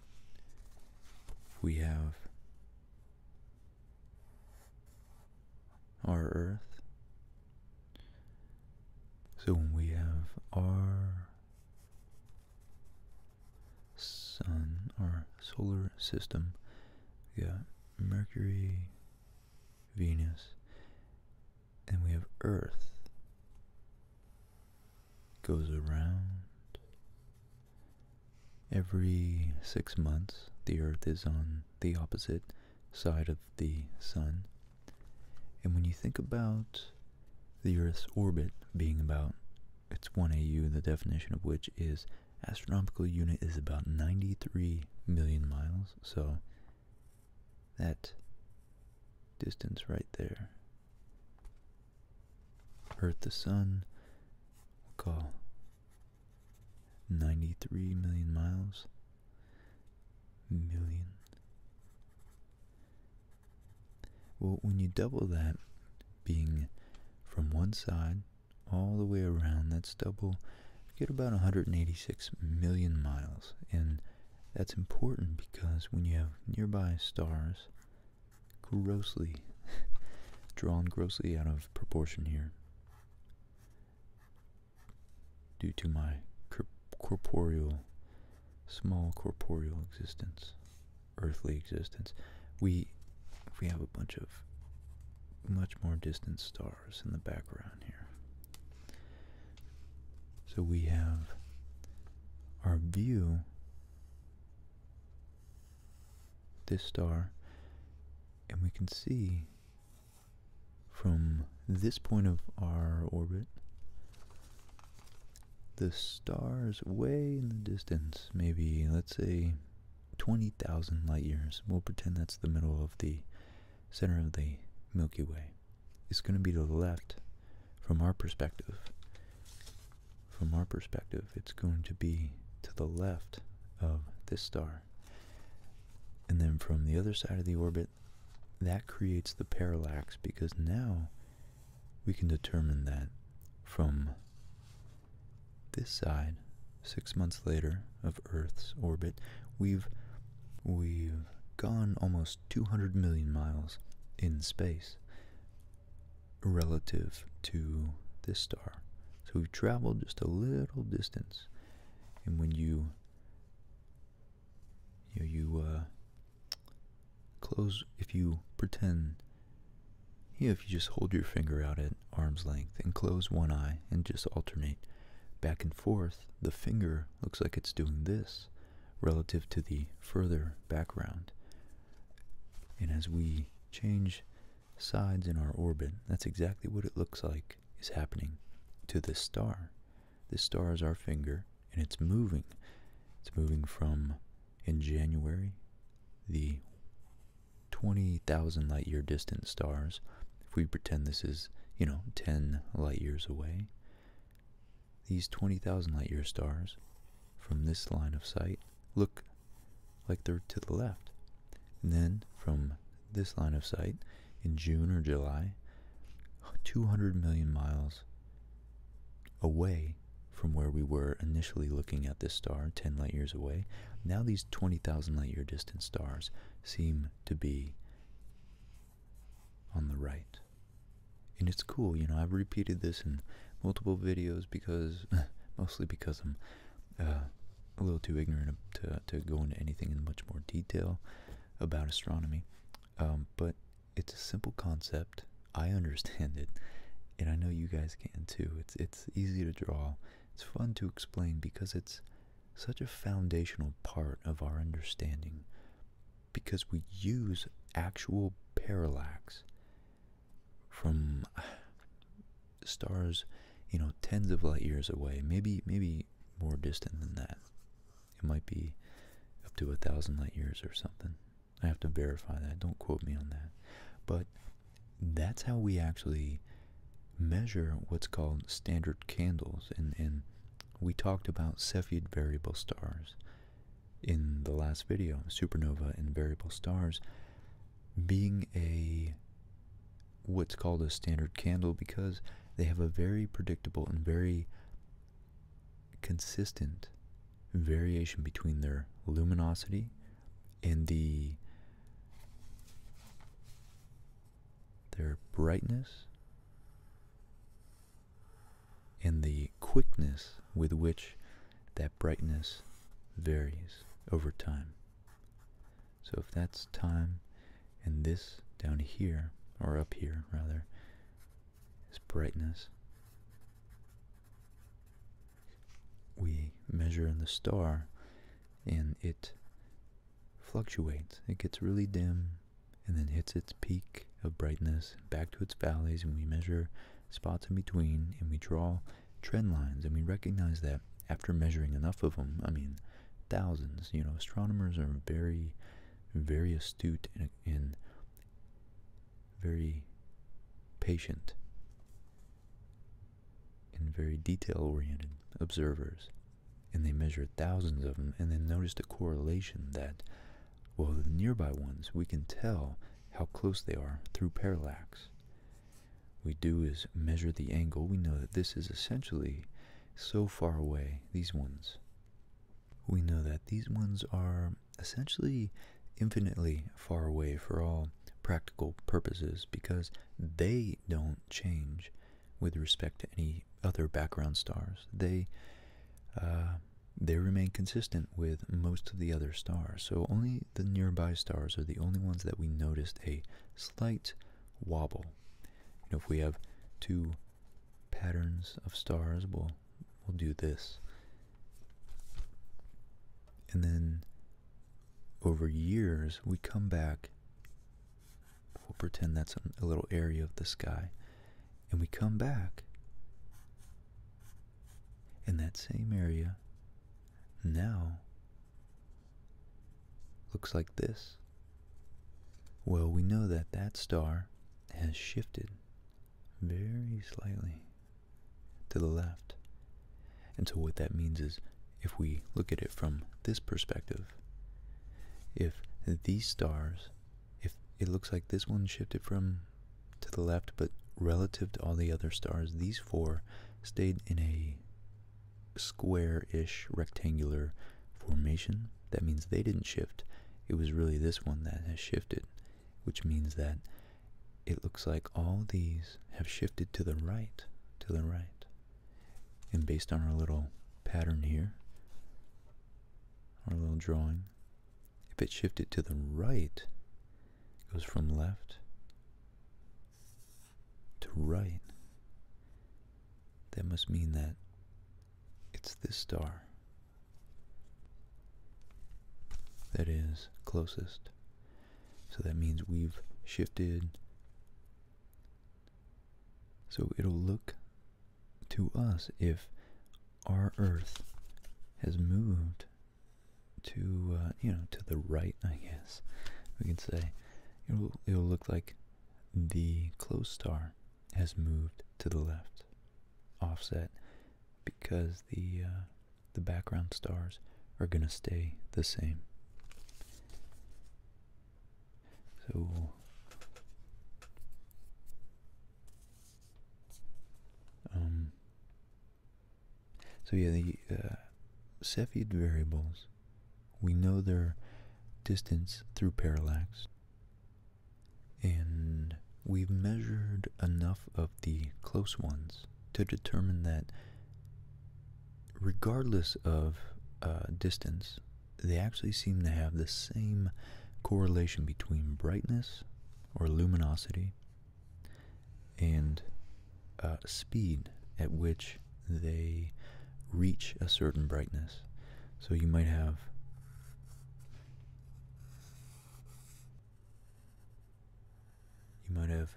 We have our earth. So when we have our sun, our solar system, we got Mercury, Venus, and we have Earth. Goes around every six months. The Earth is on the opposite side of the sun. And when you think about the Earth's orbit being about its 1 AU, the definition of which is astronomical unit is about 93 million miles, so that distance right there. Earth the Sun, we 93 million miles, million. Well, when you double that, being from one side all the way around, that's double, you get about 186 million miles. And that's important because when you have nearby stars grossly drawn grossly out of proportion here, due to my corporeal, small corporeal existence, earthly existence, we we have a bunch of much more distant stars in the background here. So we have our view, this star, and we can see from this point of our orbit, the stars way in the distance, maybe let's say 20,000 light years, we'll pretend that's the middle of the center of the Milky Way, is going to be to the left from our perspective. From our perspective, it's going to be to the left of this star. And then from the other side of the orbit, that creates the parallax because now we can determine that from this side, six months later of Earth's orbit, we've we've gone almost 200 million miles in space relative to this star. So we've traveled just a little distance and when you you uh, close if you pretend you know, if you just hold your finger out at arm's length and close one eye and just alternate back and forth, the finger looks like it's doing this relative to the further background. And as we change sides in our orbit, that's exactly what it looks like is happening to this star. This star is our finger, and it's moving. It's moving from, in January, the 20,000 light year distant stars. If we pretend this is, you know, 10 light years away, these 20,000 light year stars from this line of sight look like they're to the left. And then from this line of sight in June or July, 200 million miles away from where we were initially looking at this star, 10 light years away. Now these 20,000 light year distant stars seem to be on the right. And it's cool, you know, I've repeated this in multiple videos because, mostly because I'm uh, a little too ignorant to, to go into anything in much more detail about astronomy, um, but it's a simple concept. I understand it, and I know you guys can too. It's it's easy to draw. It's fun to explain because it's such a foundational part of our understanding because we use actual parallax from stars, you know, tens of light years away, maybe maybe more distant than that. It might be up to a thousand light years or something. I have to verify that. Don't quote me on that. But that's how we actually measure what's called standard candles. And, and we talked about Cepheid variable stars in the last video, supernova and variable stars being a what's called a standard candle because they have a very predictable and very consistent variation between their luminosity and the their brightness and the quickness with which that brightness varies over time. So if that's time and this down here, or up here rather, is brightness, we measure in the star and it fluctuates. It gets really dim and then hits its peak of brightness back to its valleys and we measure spots in between and we draw trend lines and we recognize that after measuring enough of them, I mean, thousands. You know, astronomers are very, very astute and, very patient and very detail-oriented observers. And they measured thousands of them and then noticed a correlation that, well, the nearby ones, we can tell how close they are through parallax we do is measure the angle. We know that this is essentially so far away, these ones. We know that these ones are essentially infinitely far away for all practical purposes because they don't change with respect to any other background stars. They uh, they remain consistent with most of the other stars, so only the nearby stars are the only ones that we noticed a slight wobble if we have two patterns of stars, we'll, we'll do this. And then over years, we come back, we'll pretend that's a little area of the sky, and we come back, in that same area now looks like this. Well, we know that that star has shifted very slightly to the left. And so what that means is if we look at it from this perspective, if these stars, if it looks like this one shifted from to the left, but relative to all the other stars, these four stayed in a square-ish rectangular formation. That means they didn't shift. It was really this one that has shifted, which means that it looks like all these have shifted to the right, to the right. And based on our little pattern here, our little drawing, if it shifted to the right, it goes from left to right, that must mean that it's this star that is closest. So that means we've shifted. So it'll look to us if our Earth has moved to, uh, you know, to the right, I guess we can say. It'll, it'll look like the close star has moved to the left, offset, because the uh, the background stars are going to stay the same. So um, so yeah, the uh, Cepheid variables we know their distance through parallax. And we've measured enough of the close ones to determine that regardless of uh, distance, they actually seem to have the same correlation between brightness or luminosity and uh, speed at which they reach a certain brightness. So you might have you might have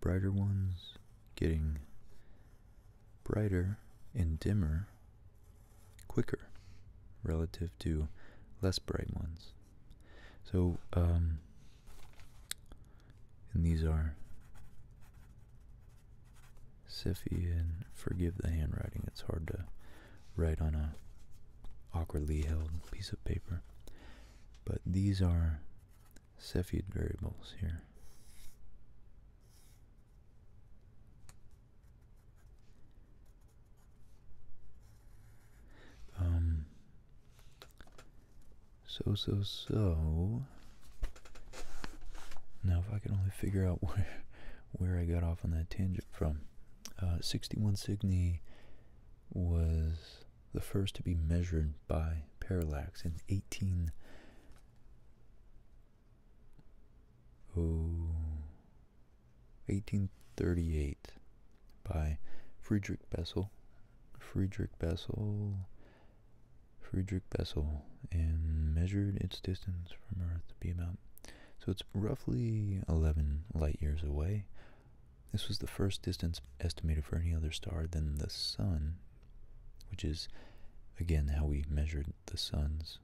brighter ones getting brighter and dimmer quicker relative to less bright ones. So um, and these are Siffy and forgive the handwriting. It's hard to write on a awkwardly held piece of paper. But these are Cepheid variables here. Um, so, so, so. Now, if I can only figure out where, where I got off on that tangent from. Uh, 61 Cygni was the first to be measured by parallax in 18. Oh, 1838 by Friedrich Bessel. Friedrich Bessel Friedrich Bessel and measured its distance from Earth to be about. So it's roughly 11 light years away. This was the first distance estimated for any other star than the Sun, which is, again, how we measured the Sun's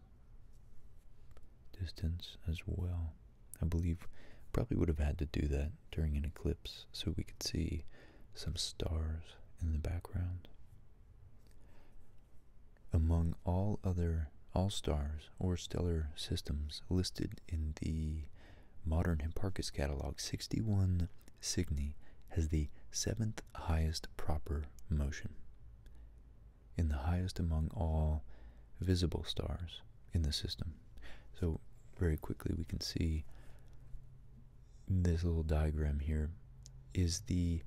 distance as well. I believe probably would have had to do that during an eclipse so we could see some stars in the background. Among all other all stars or stellar systems listed in the modern Hipparchus catalog, 61 Cygni has the seventh highest proper motion, In the highest among all visible stars in the system. So, very quickly, we can see this little diagram here is the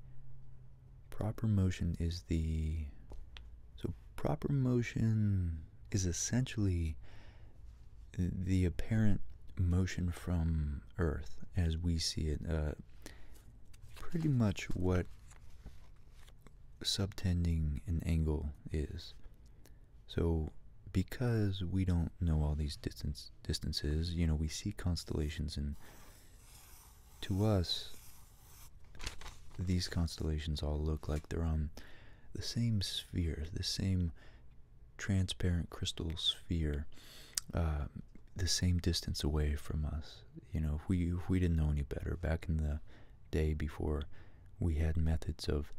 proper motion is the so proper motion is essentially the apparent motion from earth as we see it uh, pretty much what subtending an angle is so because we don't know all these distances distances you know we see constellations and to us these constellations all look like they're on the same sphere the same transparent crystal sphere uh, the same distance away from us you know we we didn't know any better back in the day before we had methods of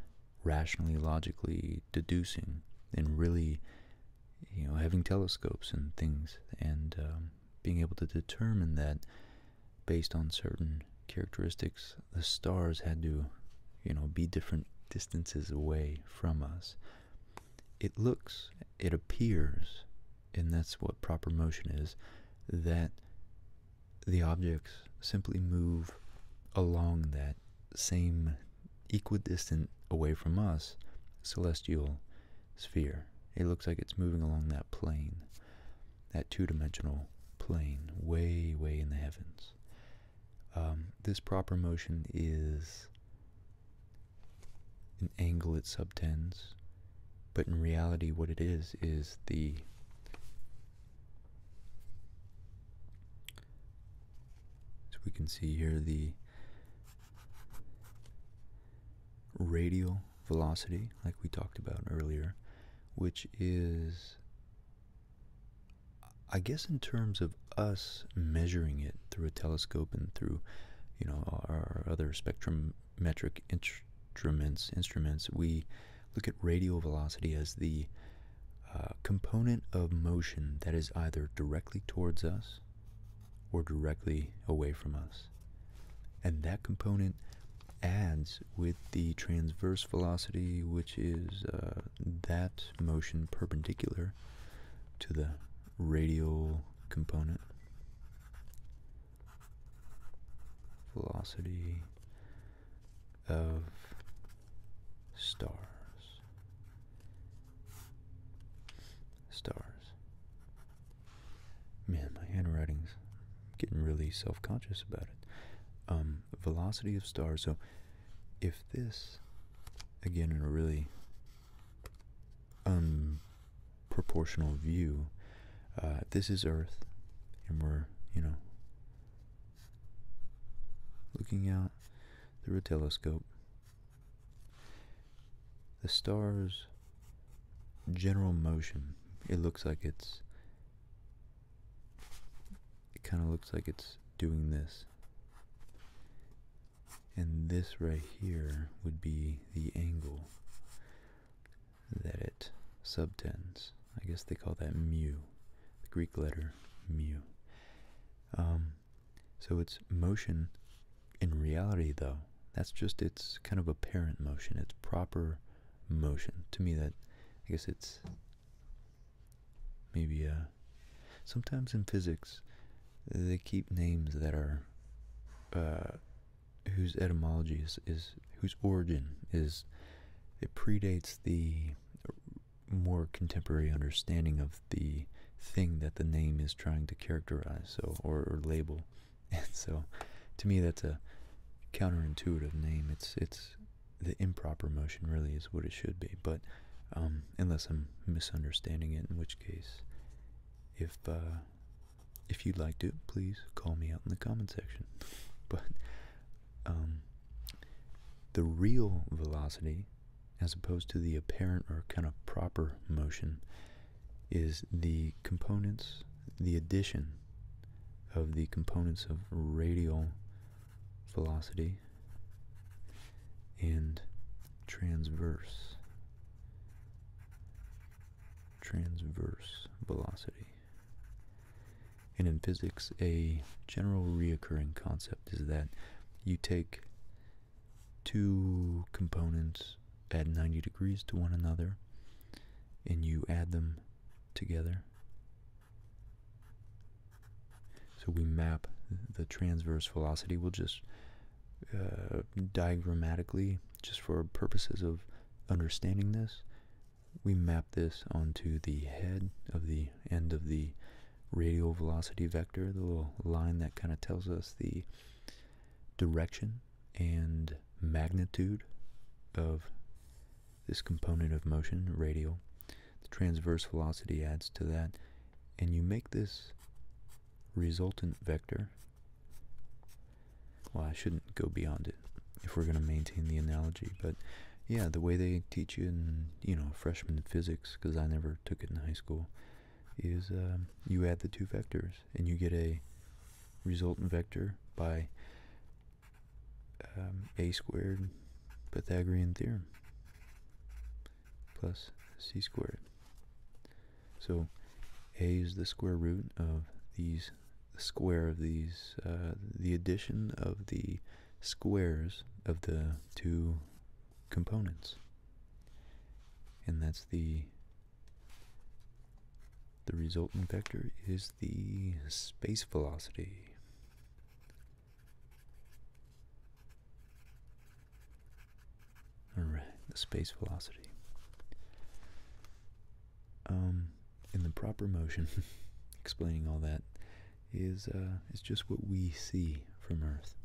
rationally logically deducing and really you know, having telescopes and things and um, being able to determine that based on certain characteristics, the stars had to, you know, be different distances away from us. It looks, it appears, and that's what proper motion is, that the objects simply move along that same equidistant away from us celestial sphere. It looks like it's moving along that plane, that two dimensional plane, way, way in the heavens. Um, this proper motion is an angle it subtends, but in reality, what it is is the so we can see here the radial velocity, like we talked about earlier, which is, I guess, in terms of us measuring it through a telescope and through, you know, our, other spectrometric instruments, instruments, we look at radial velocity as the uh, component of motion that is either directly towards us or directly away from us. And that component adds with the transverse velocity, which is uh, that motion perpendicular to the radial component. Velocity of stars Stars. Man, my handwriting's getting really self-conscious about it. Um, velocity of stars. So, if this, again, in a really proportional view, uh, this is Earth, and we're you know looking out through a telescope the star's general motion, it looks like it's. It kind of looks like it's doing this. And this right here would be the angle that it subtends. I guess they call that mu, the Greek letter mu. Um, so its motion in reality, though, that's just its kind of apparent motion, its proper motion. To me, that I guess it's maybe uh, sometimes in physics they keep names that are uh, whose etymology is, is whose origin is it predates the more contemporary understanding of the thing that the name is trying to characterize so or, label and so to me that's a counterintuitive name it's it's the improper motion really is what it should be but um, unless I'm misunderstanding it in which case if uh, if you'd like to please call me out in the comment section but um, the real velocity as opposed to the apparent or kind of proper motion is the components, the addition of the components of radial velocity and transverse transverse velocity. And in physics, a general reoccurring concept is that you take two components at 90 degrees to one another and you add them together. So we map the transverse velocity. We'll just uh, diagrammatically, just for purposes of understanding this, we map this onto the head of the end of the radial velocity vector, the little line that kind of tells us the direction and magnitude of this component of motion, radial. The transverse velocity adds to that, and you make this resultant vector. Well, I shouldn't go beyond it if we're going to maintain the analogy, but yeah, the way they teach you in, you know, freshman physics, because I never took it in high school, is um, you add the two vectors and you get a resultant vector by um, a squared Pythagorean theorem plus c squared. So a is the square root of these square of these uh, the addition of the squares of the two components. And that's the the resultant vector is the space velocity. Alright, the space velocity. Um, in the proper motion, explaining all that is uh, is just what we see from Earth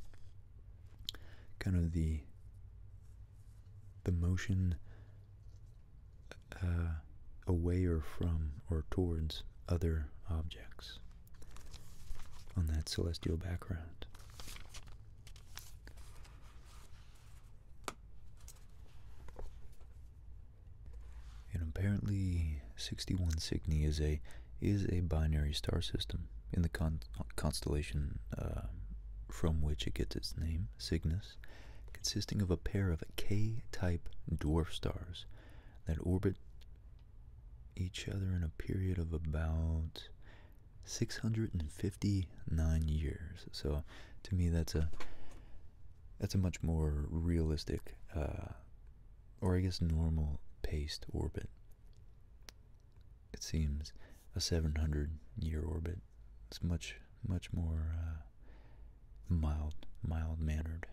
kind of the the motion uh, away or from or towards other objects on that celestial background. And apparently, 61 Cygni is a is a binary star system in the constellation uh, from which it gets its name, Cygnus, consisting of a pair of K-type dwarf stars that orbit each other in a period of about 659 years. So to me that's a that's a much more realistic uh, or I guess normal paced orbit it seems a 700 year orbit is much much more uh, mild mild mannered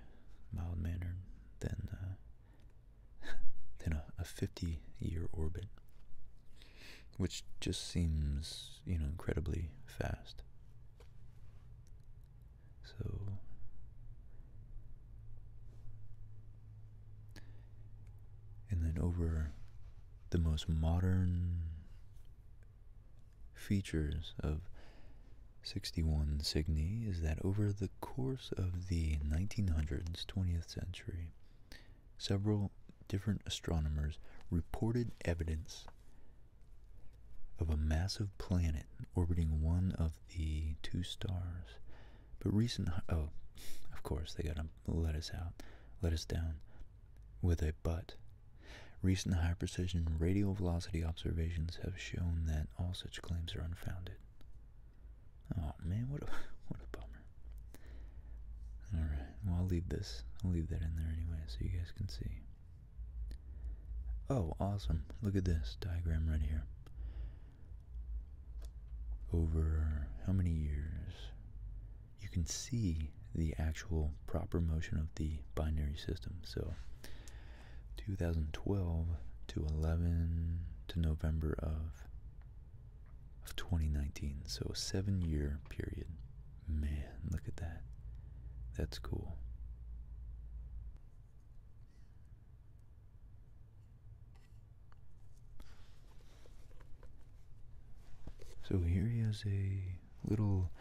mild mannered than uh, than a, a 50 year orbit which just seems you know incredibly fast so and then over the most modern features of 61 Cygni is that over the course of the 1900s, 20th century, several different astronomers reported evidence of a massive planet orbiting one of the two stars. But recent, oh, of course, they got a let us out, let us down with a butt. Recent high precision radial velocity observations have shown that all such claims are unfounded. Oh man, what a what a bummer. Alright, well I'll leave this. I'll leave that in there anyway so you guys can see. Oh, awesome. Look at this diagram right here over how many years, you can see the actual proper motion of the binary system. So 2012 to 11 to November of 2019. So a 7 year period. Man, look at that. That's cool. So here is a little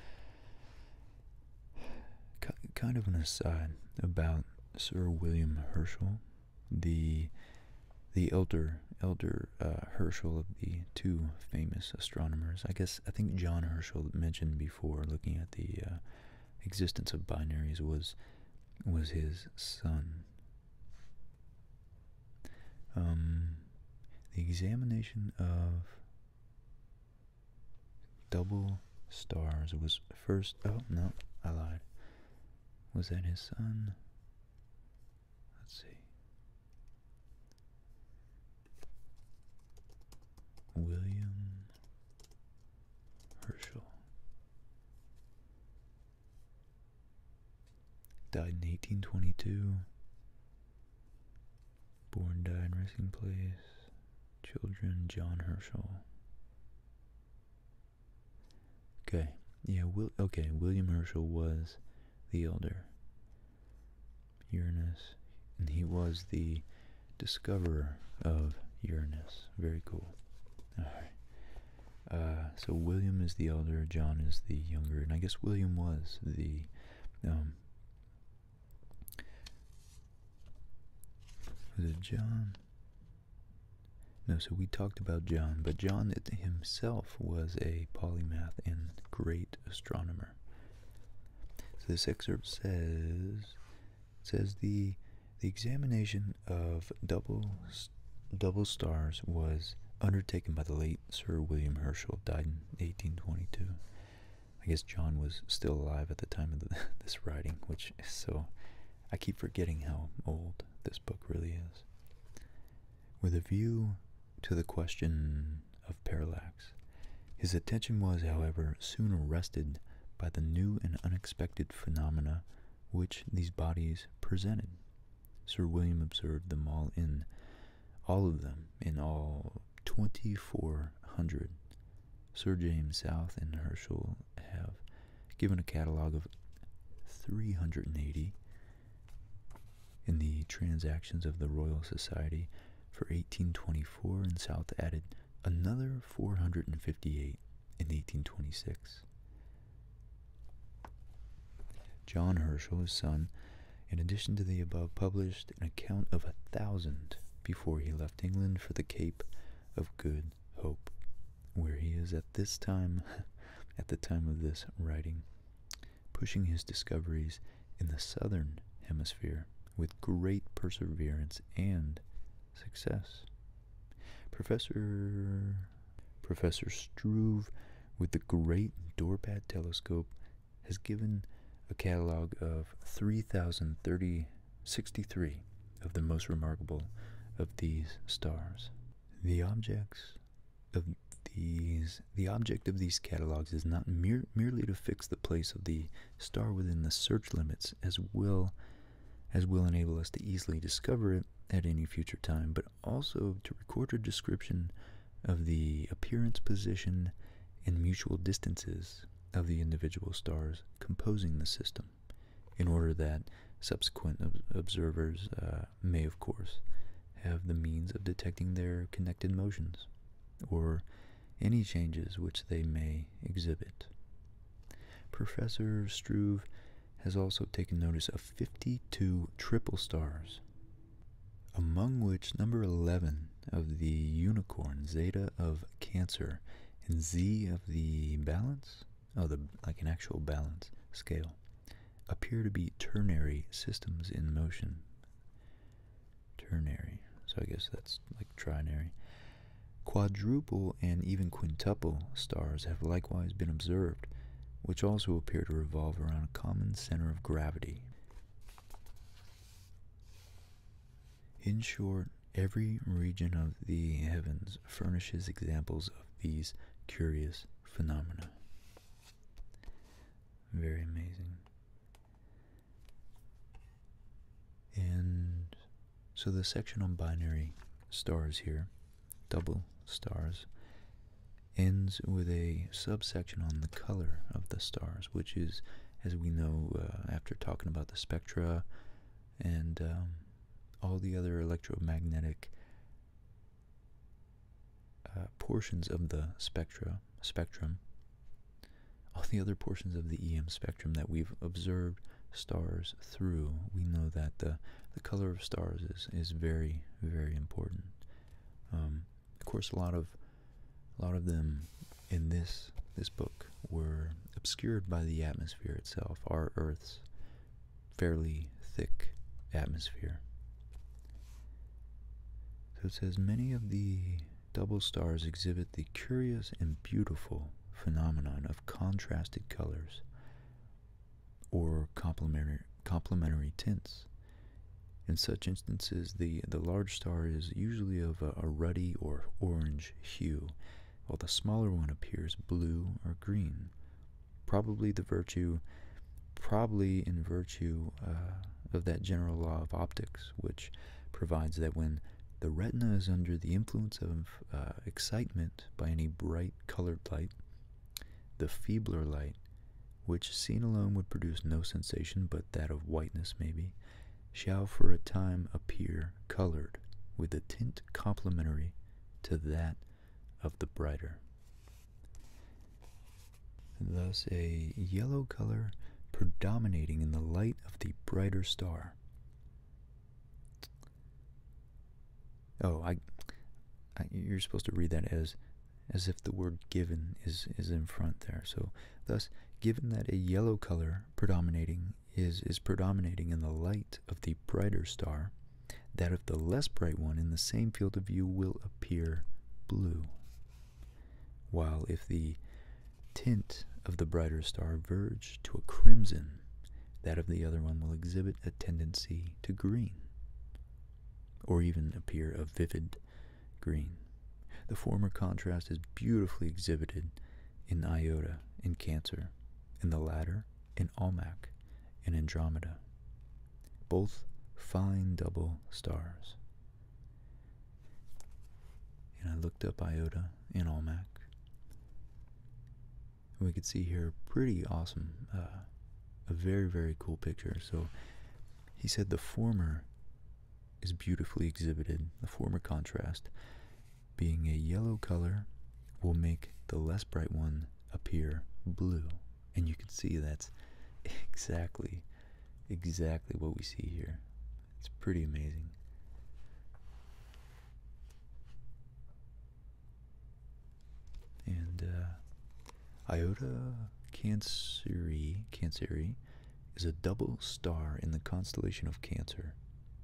kind of an aside about Sir William Herschel, the the elder elder uh, Herschel of the two famous astronomers. I guess I think John Herschel mentioned before, looking at the uh, existence of binaries, was was his son um, the examination of double stars was first. Oh, no, I lied. Was that his son? Let's see. William Herschel. Died in 1822. Born died resting place. Children John Herschel. Okay, yeah, Will, okay, William Herschel was the elder Uranus, and he was the discoverer of Uranus. Very cool. All right. Uh, so William is the elder, John is the younger, and I guess William was the um. John? No, so we talked about John, but John himself was a polymath and great astronomer. So this excerpt says says the the examination of double, double Stars was undertaken by the late Sir William Herschel, died in 1822. I guess John was still alive at the time of this writing, which is so. I keep forgetting how old this book really is. With a view to the question of parallax, his attention was, however, soon arrested by the new and unexpected phenomena which these bodies presented. Sir William observed them all in all of them in all 2400. Sir James South and Herschel have given a catalog of 380 in the Transactions of the Royal Society for 1824, and South added another 458 in 1826. John Herschel, his son, in addition to the above, published an account of a thousand before he left England for the Cape of Good Hope, where he is at this time, at the time of this writing, pushing his discoveries in the southern hemisphere with great perseverance and success. Professor Professor Struve with the Great Dorpat Telescope has given a catalog of 3,063 of the most remarkable of these stars. The objects of these the object of these catalogs is not merely to fix the place of the star within the search limits as well as will enable us to easily discover it at any future time, but also to record a description of the appearance, position, and mutual distances of the individual stars composing the system, in order that subsequent observers uh, may, of course, have the means of detecting their connected motions or any changes which they may exhibit. Professor Struve has also taken notice of 52 triple stars, among which number 11 of the unicorn, Zeta of Cancer, and Z of the balance, oh, the, like an actual balance scale, appear to be ternary systems in motion. Ternary, so I guess that's like trinary. Quadruple and even quintuple stars have likewise been observed, which also appear to revolve around a common center of gravity. In short, every region of the heavens furnishes examples of these curious phenomena. Very amazing. And so the section on binary stars here double stars ends with a subsection on the color of the stars, which is, as we know uh, after talking about the spectra and um, all the other electromagnetic uh, portions of the spectra spectrum, all the other portions of the EM spectrum that we've observed stars through. We know that the the color of stars is is very very important. Um, of course, a lot of a lot of them in this this book were obscured by the atmosphere itself, our Earth's fairly thick atmosphere. So it says many of the double stars exhibit the curious and beautiful phenomenon of contrasted colors or complementary, complementary tints. In such instances, the, the large star is usually of a, ruddy or orange hue, while the smaller one appears blue or green. Probably the virtue, probably in virtue uh, of that general law of optics, which provides that when the retina is under the influence of uh, excitement by any bright colored light, the feebler light, which seen alone would produce no sensation but that of whiteness maybe, shall for a time appear colored with a tint complementary to that of the brighter. Thus a yellow color predominating in the light of the brighter star. Oh, I, you're supposed to read that as, as if the word given is, is in front there. So thus, given that a yellow color predominating is, is predominating in the light of the brighter star, that of the less bright one in the same field of view will appear blue. While if the tint of the brighter star verge to a crimson, that of the other one will exhibit a tendency to green, or even appear a vivid green. The former contrast is beautifully exhibited in Iota, in Cancer, in the latter in Almac, in Andromeda. Both fine double stars. And I looked up Iota in Almac we can see here pretty awesome uh, a very very cool picture so he said the former is beautifully exhibited the former contrast being a yellow color will make the less bright one appear blue and you can see that's exactly exactly what we see here it's pretty amazing and uh, Iota Canceri, Canceri is a double star in the constellation of Cancer.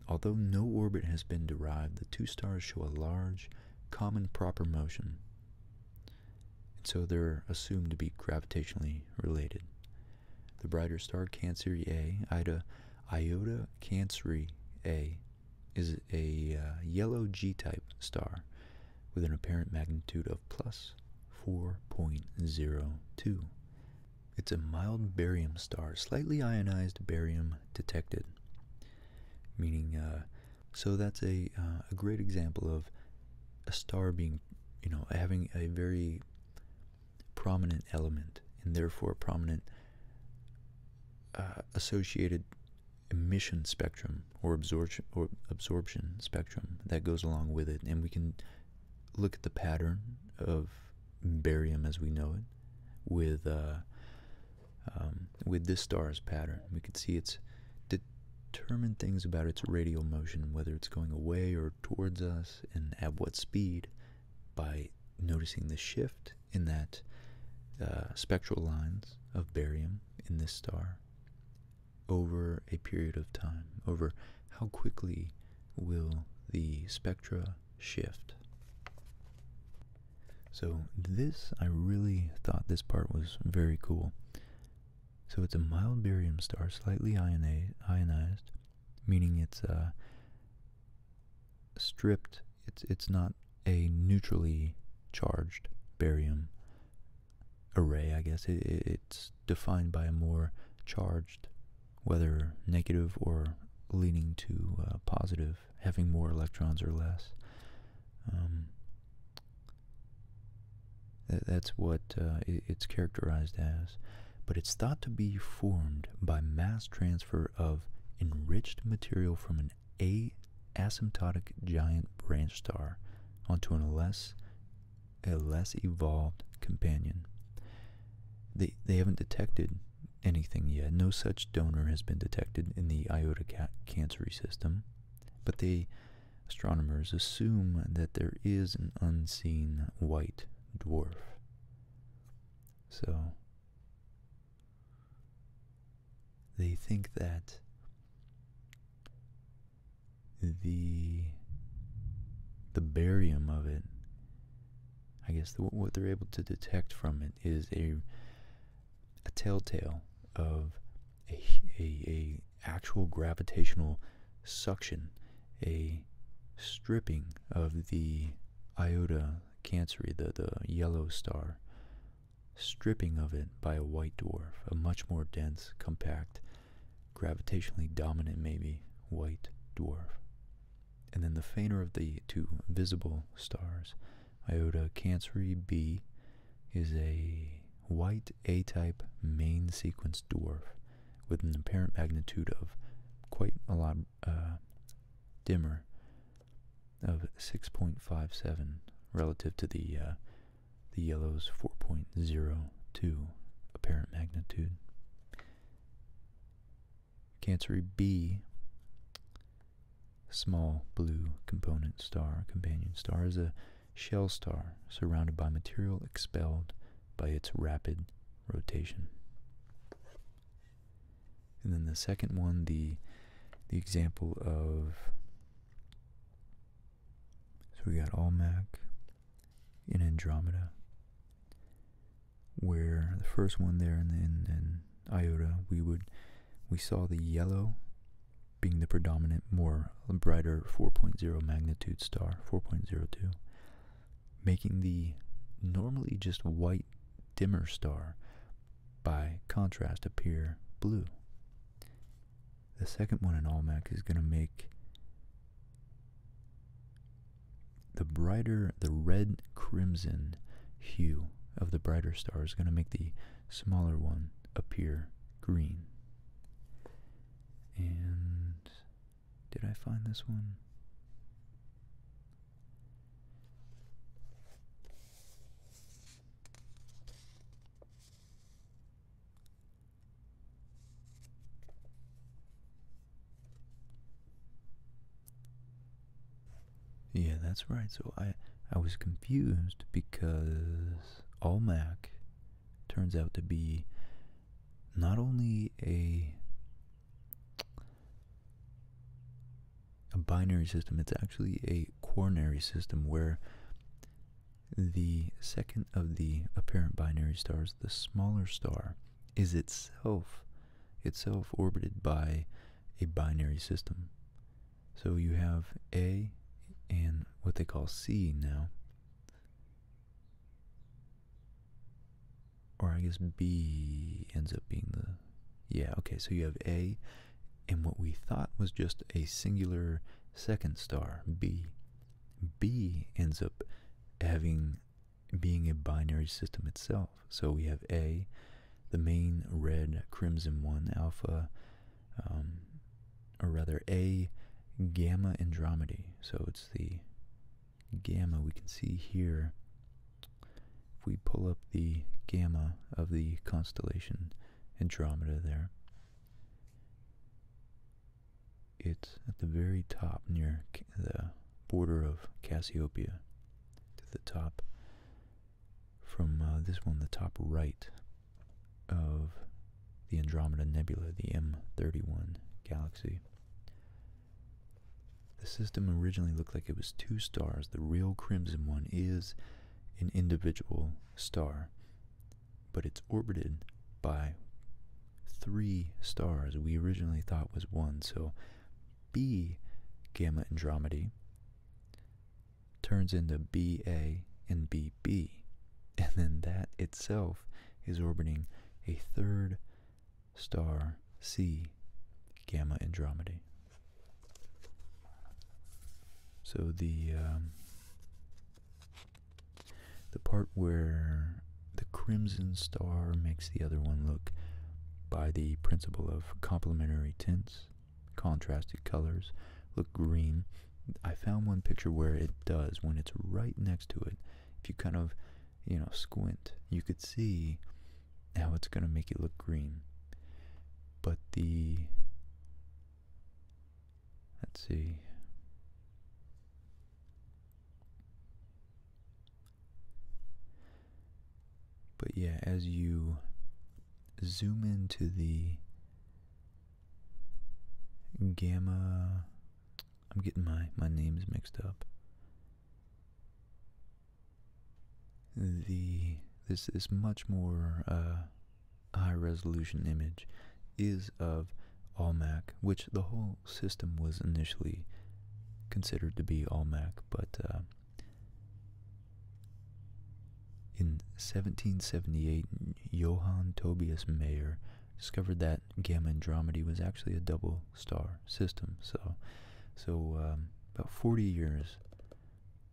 Although no orbit has been derived, the two stars show a large, common proper motion, and so they're assumed to be gravitationally related. The brighter star Canceri A, Ida, Iota Canceri A, is a uh, yellow G-type star with an apparent magnitude of plus 4.02. It's a mild barium star, slightly ionized barium detected, meaning uh, so that's a uh, a great example of a star being you know having a very prominent element and therefore prominent associated emission spectrum or absorption spectrum that goes along with it and we can look at the pattern of barium as we know it with uh, um, with this star's pattern we can see it's determined things about its radial motion whether it's going away or towards us and at what speed by noticing the shift in that uh, spectral lines of barium in this star over a period of time, over how quickly will the spectra shift. So this, I really thought this part was very cool. So it's a mild barium star, slightly ionized, meaning it's uh, stripped it's it's not a neutrally charged barium array. I guess it's defined by a more charged, whether negative or leaning to uh, positive, having more electrons or less. Um, that's what uh, it's characterized as. But it's thought to be formed by mass transfer of enriched material from an a asymptotic giant branch star onto an less a less evolved companion. They they haven't detected anything yet. No such donor has been detected in the Iota ca system, but the astronomers assume that there is an unseen white dwarf. So they think that the the barium of it i guess what they're able to detect from it is a a telltale of a, a, actual gravitational suction a stripping of the iota canceri the, the yellow star stripping of it by a white dwarf, a much more dense, compact, gravitationally dominant, maybe, white dwarf. And then the fainter of the two visible stars, Iota Canceri b, is a white A type main sequence dwarf with an apparent magnitude of quite a lot uh, dimmer of 6.57 relative to the uh, the yellow's 4.02 apparent magnitude. Cancer B, small blue component star, companion star, is a shell star surrounded by material expelled by its rapid rotation. And then the second one, the the example of so we got Almac in Andromeda. Where the first one there and then Iota, we would we saw the yellow being the predominant, more brighter 4.0 magnitude star, 4.02, making the normally just white dimmer star by contrast, appear blue. The second one in Almec is going to make the brighter, the red crimson hue of the brighter star is going to make the smaller one appear green. And did I find this one? Yeah, that's right. So I I was confused because Allmac turns out to be not only a a binary system, it's actually a quaternary system where the second of the apparent binary stars, the smaller star, is itself itself orbited by a binary system. So you have A and what they call C now. Or I guess B ends up being the yeah, okay, so you have A and what we thought was just a singular second star, B. B ends up having being a binary system itself. So we have A, the main red crimson one, alpha, um, or rather A gamma Andromedae. So it's the gamma we can see here. If we pull up the gamma of the constellation Andromeda there. It's at the very top near the border of Cassiopeia to the top from uh, this one, the top right of the Andromeda Nebula, the M31 galaxy. The system originally looked like it was two stars. The real crimson one is an individual star, but it's orbited by three stars we originally thought was one. So B Gamma Andromedae turns into BA and BB. And then that itself is orbiting a third star C Gamma Andromedae. So the um, the part where the crimson star makes the other one look by the principle of complementary tints, contrasted colors, look green. I found one picture where it does when it's right next to it. If you kind of, you know, squint, you could see how it's going to make it look green. But the Let's see. But yeah, as you zoom into the gamma, I'm getting my, my names mixed up. The this is much more uh, high resolution image is of Almac, which the whole system was initially considered to be Almac, but uh, in 1778, Johann Tobias Mayer discovered that Gamma Andromedae was actually a double star system. So, so um, about 40 years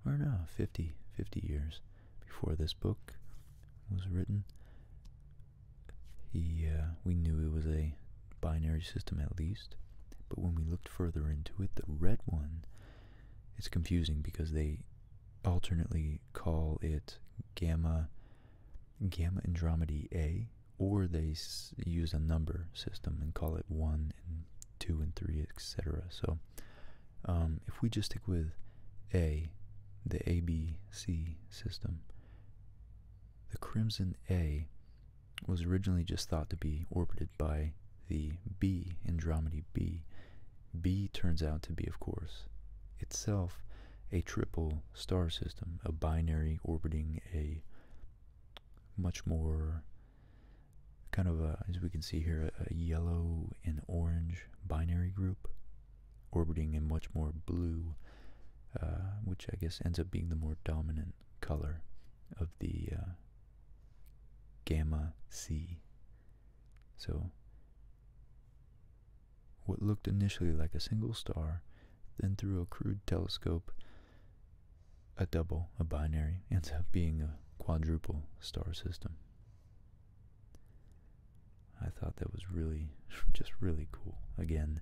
or no, 50, 50 years before this book was written. He, uh, we knew it was a binary system at least, but when we looked further into it, the red one, it's confusing because they alternately call it gamma gamma Andromedae A, or they use a number system and call it 1 and 2 and 3, etc. So um, if we just stick with A, the ABC system, the crimson A was originally just thought to be orbited by the B, Andromeda B. B turns out to be, of course, itself a triple star system, a binary orbiting a much more kind of as we can see here a yellow and orange binary group orbiting a much more blue uh, which I guess ends up being the more dominant color of the uh, gamma C so what looked initially like a single star then through a crude telescope a double, a binary, ends up being a quadruple star system. I thought that was really, just really cool. Again,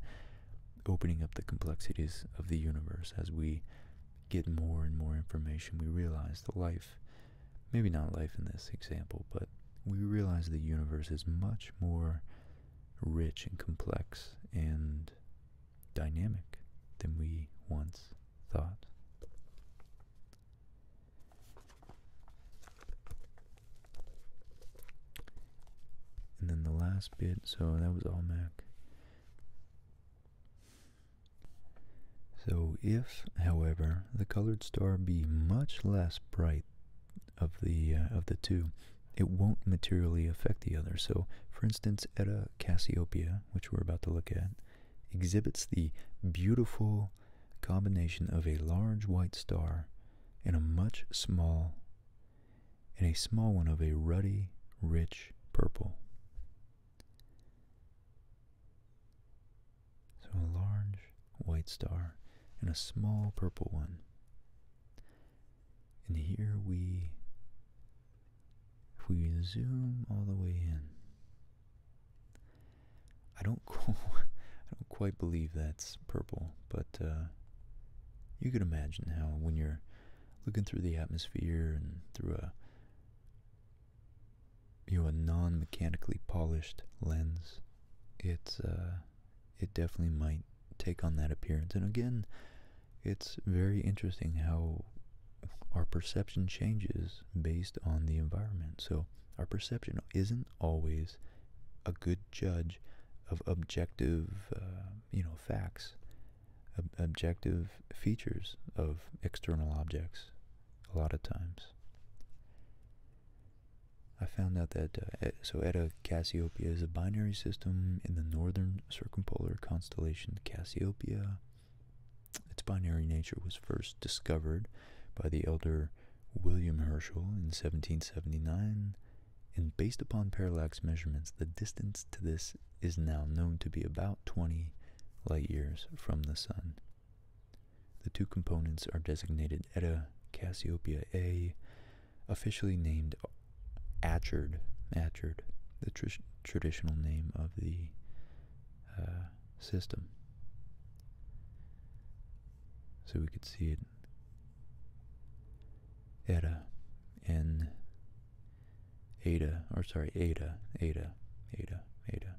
opening up the complexities of the universe as we get more and more information, we realize the life, maybe not life in this example, but we realize the universe is much more rich and complex and dynamic than we once thought. And then the last bit, so that was all Mac. So if, however, the colored star be much less bright of the uh, of the two, it won't materially affect the other. So, for instance, Eta Cassiopeia, which we're about to look at, exhibits the beautiful combination of a large white star and a much small and a small one of a ruddy, rich purple. So a large white star and a small purple one. And here we, if we zoom all the way in, I don't I don't quite believe that's purple, but uh, you could imagine how when you're looking through the atmosphere and through a you know a non-mechanically polished lens, it's uh, it definitely might take on that appearance. And again, it's very interesting how our perception changes based on the environment. So our perception isn't always a good judge of objective, uh, you know, facts, objective features of external objects. A lot of times, I found out that uh, so Eta Cassiopeia is a binary system in the northern circumpolar constellation Cassiopeia. Its binary nature was first discovered by the elder William Herschel in 1779, and based upon parallax measurements, the distance to this is now known to be about 20 light years from the Sun. The two components are designated Eta Cassiopeia A, officially named Achard, Achard the traditional name of the uh, system. So we could see it eta n eta, or sorry, eta, eta, eta, eta.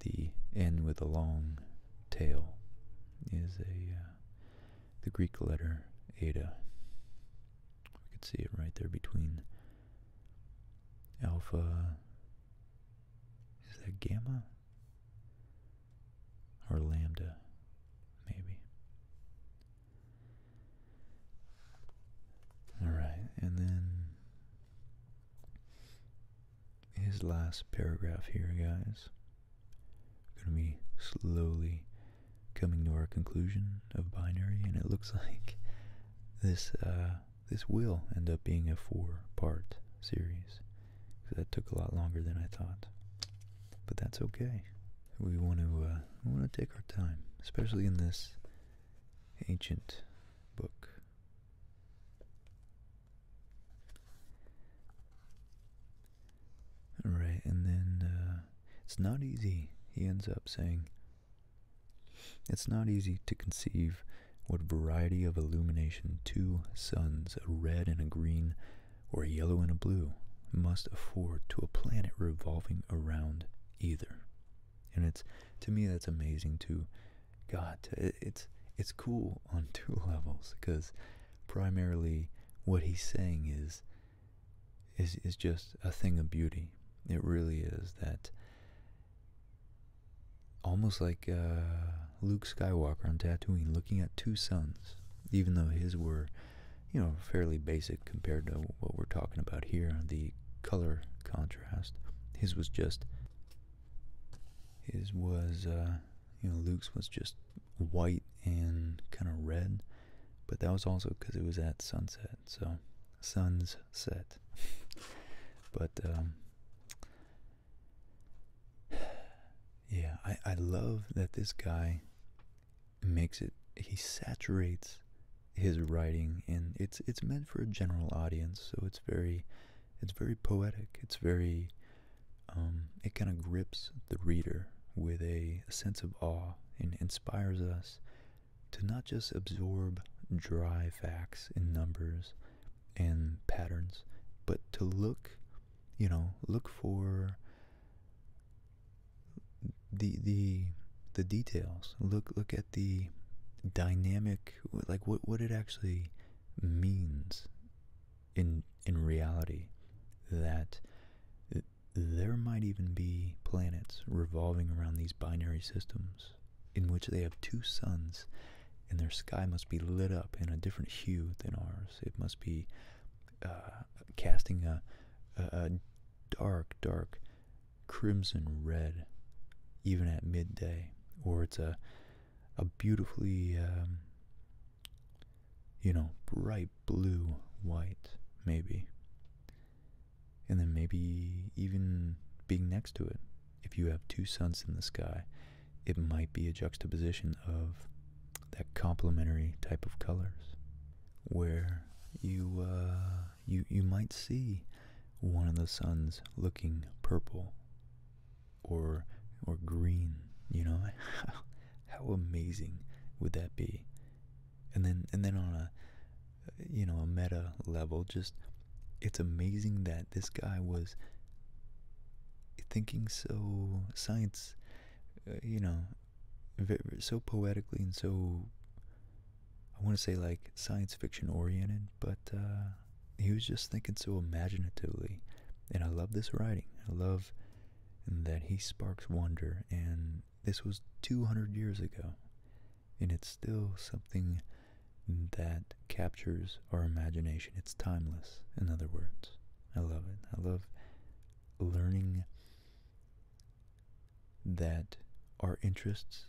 The n with a long tail is a uh, the Greek letter eta. We could see it right there between alpha is that gamma? Or lambda, maybe. Alright, and then his last paragraph here, guys. going to be slowly coming to our conclusion of binary, and it looks like this uh, this will end up being a four-part series. Because that took a lot longer than I thought. But that's okay. We want to uh, want to take our time, especially in this ancient book. All right, and then uh, it's not easy. He ends up saying, it's not easy to conceive what variety of illumination two suns, a red and a green, or a yellow and a blue, must afford to a planet revolving around either. And it's to me that's amazing too. God. It's it's cool on two levels because primarily what he's saying is is is just a thing of beauty. It really is that almost like uh, Luke Skywalker on Tatooine, looking at two suns, even though his were, you know, fairly basic compared to what we're talking about here. The color contrast, his was just, his was, uh, you know, Luke's was just white and kind of red, but that was also because it was at sunset. So, sun's set but um, yeah, I, I love that this guy makes it. He saturates his writing, and it's it's meant for a general audience. So it's very, it's very poetic. It's very, um, it kind of grips the reader with a sense of awe and inspires us to not just absorb dry facts in numbers and patterns, but to look, you know, look for the the the details. Look look at the dynamic like what what it actually means in in reality that there might even be planets revolving around these binary systems in which they have two suns, and their sky must be lit up in a different hue than ours. It must be uh, casting a, dark, dark crimson red, even at midday, or it's a a beautifully, um, you know, bright blue white, maybe and then maybe even being next to it. If you have two suns in the sky, it might be a juxtaposition of that complementary type of colors where you uh, you you might see one of the suns looking purple or or green you know how, how amazing would that be and then and then on a you know, a meta level, just it's amazing that this guy was thinking so science, uh, you know, so poetically and so I want to say like science fiction oriented, but uh, he was just thinking so imaginatively. And I love this writing. I love that he sparks wonder. And this was 200 years ago and it's still something that captures our imagination. It's timeless, in other words. I love it. I love learning that our interests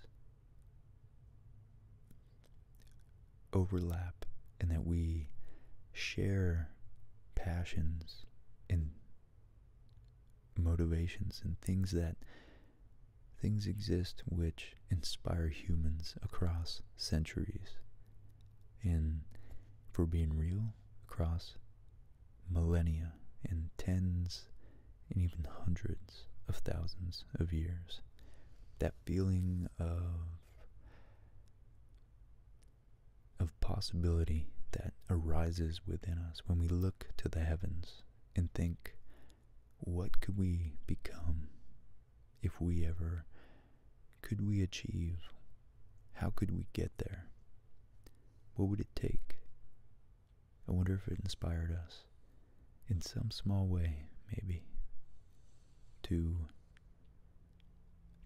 overlap and that we share passions and motivations and things that Things exist which inspire humans across centuries. And for being real, across millennia and tens and even hundreds of thousands of years. That feeling of of possibility that arises within us when we look to the heavens and think what could we become if we ever could we achieve? How could we get there? What would it take? I wonder if it inspired us in some small way, maybe, to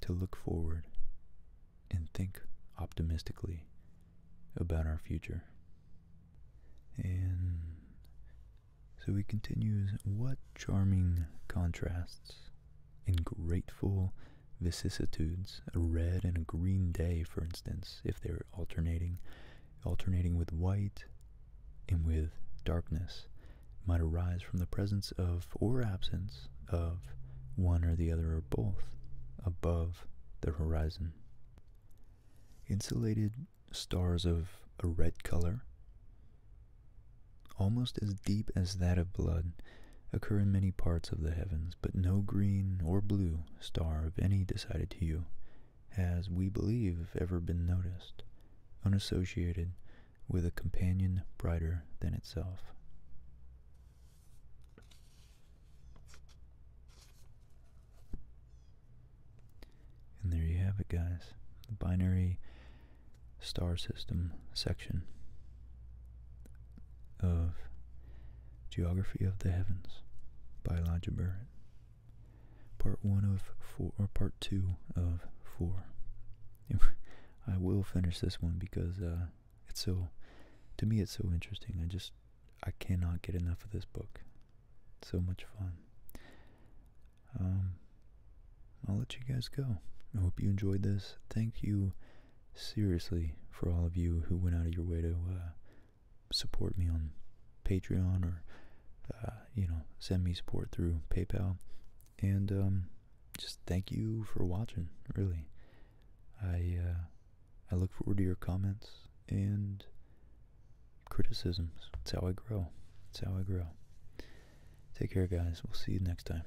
to look forward and think optimistically about our future. And so he continues, What charming contrasts and grateful vicissitudes, a red and a green day, for instance, if they're alternating, alternating with white and with darkness, might arise from the presence of or absence of one or the other or both above the horizon. Insulated stars of a red color, almost as deep as that of blood, occur in many parts of the heavens, but no green or blue star of any decided hue has, we believe, ever been noticed, unassociated with a companion brighter than itself. And there you have it, guys. The binary star system section of Geography of the Heavens by Elijah Part one of four, or part two of four. I will finish this one because uh, it's so, to me, it's so interesting. I just, I cannot get enough of this book. So much fun. Um, I'll let you guys go. I hope you enjoyed this. Thank you, seriously, for all of you who went out of your way to uh, support me on Patreon or, uh, you know, send me support through PayPal. And um, just thank you for watching, really. I, uh, I look forward to your comments and criticisms. That's how I grow. That's how I grow. Take care, guys. We'll see you next time.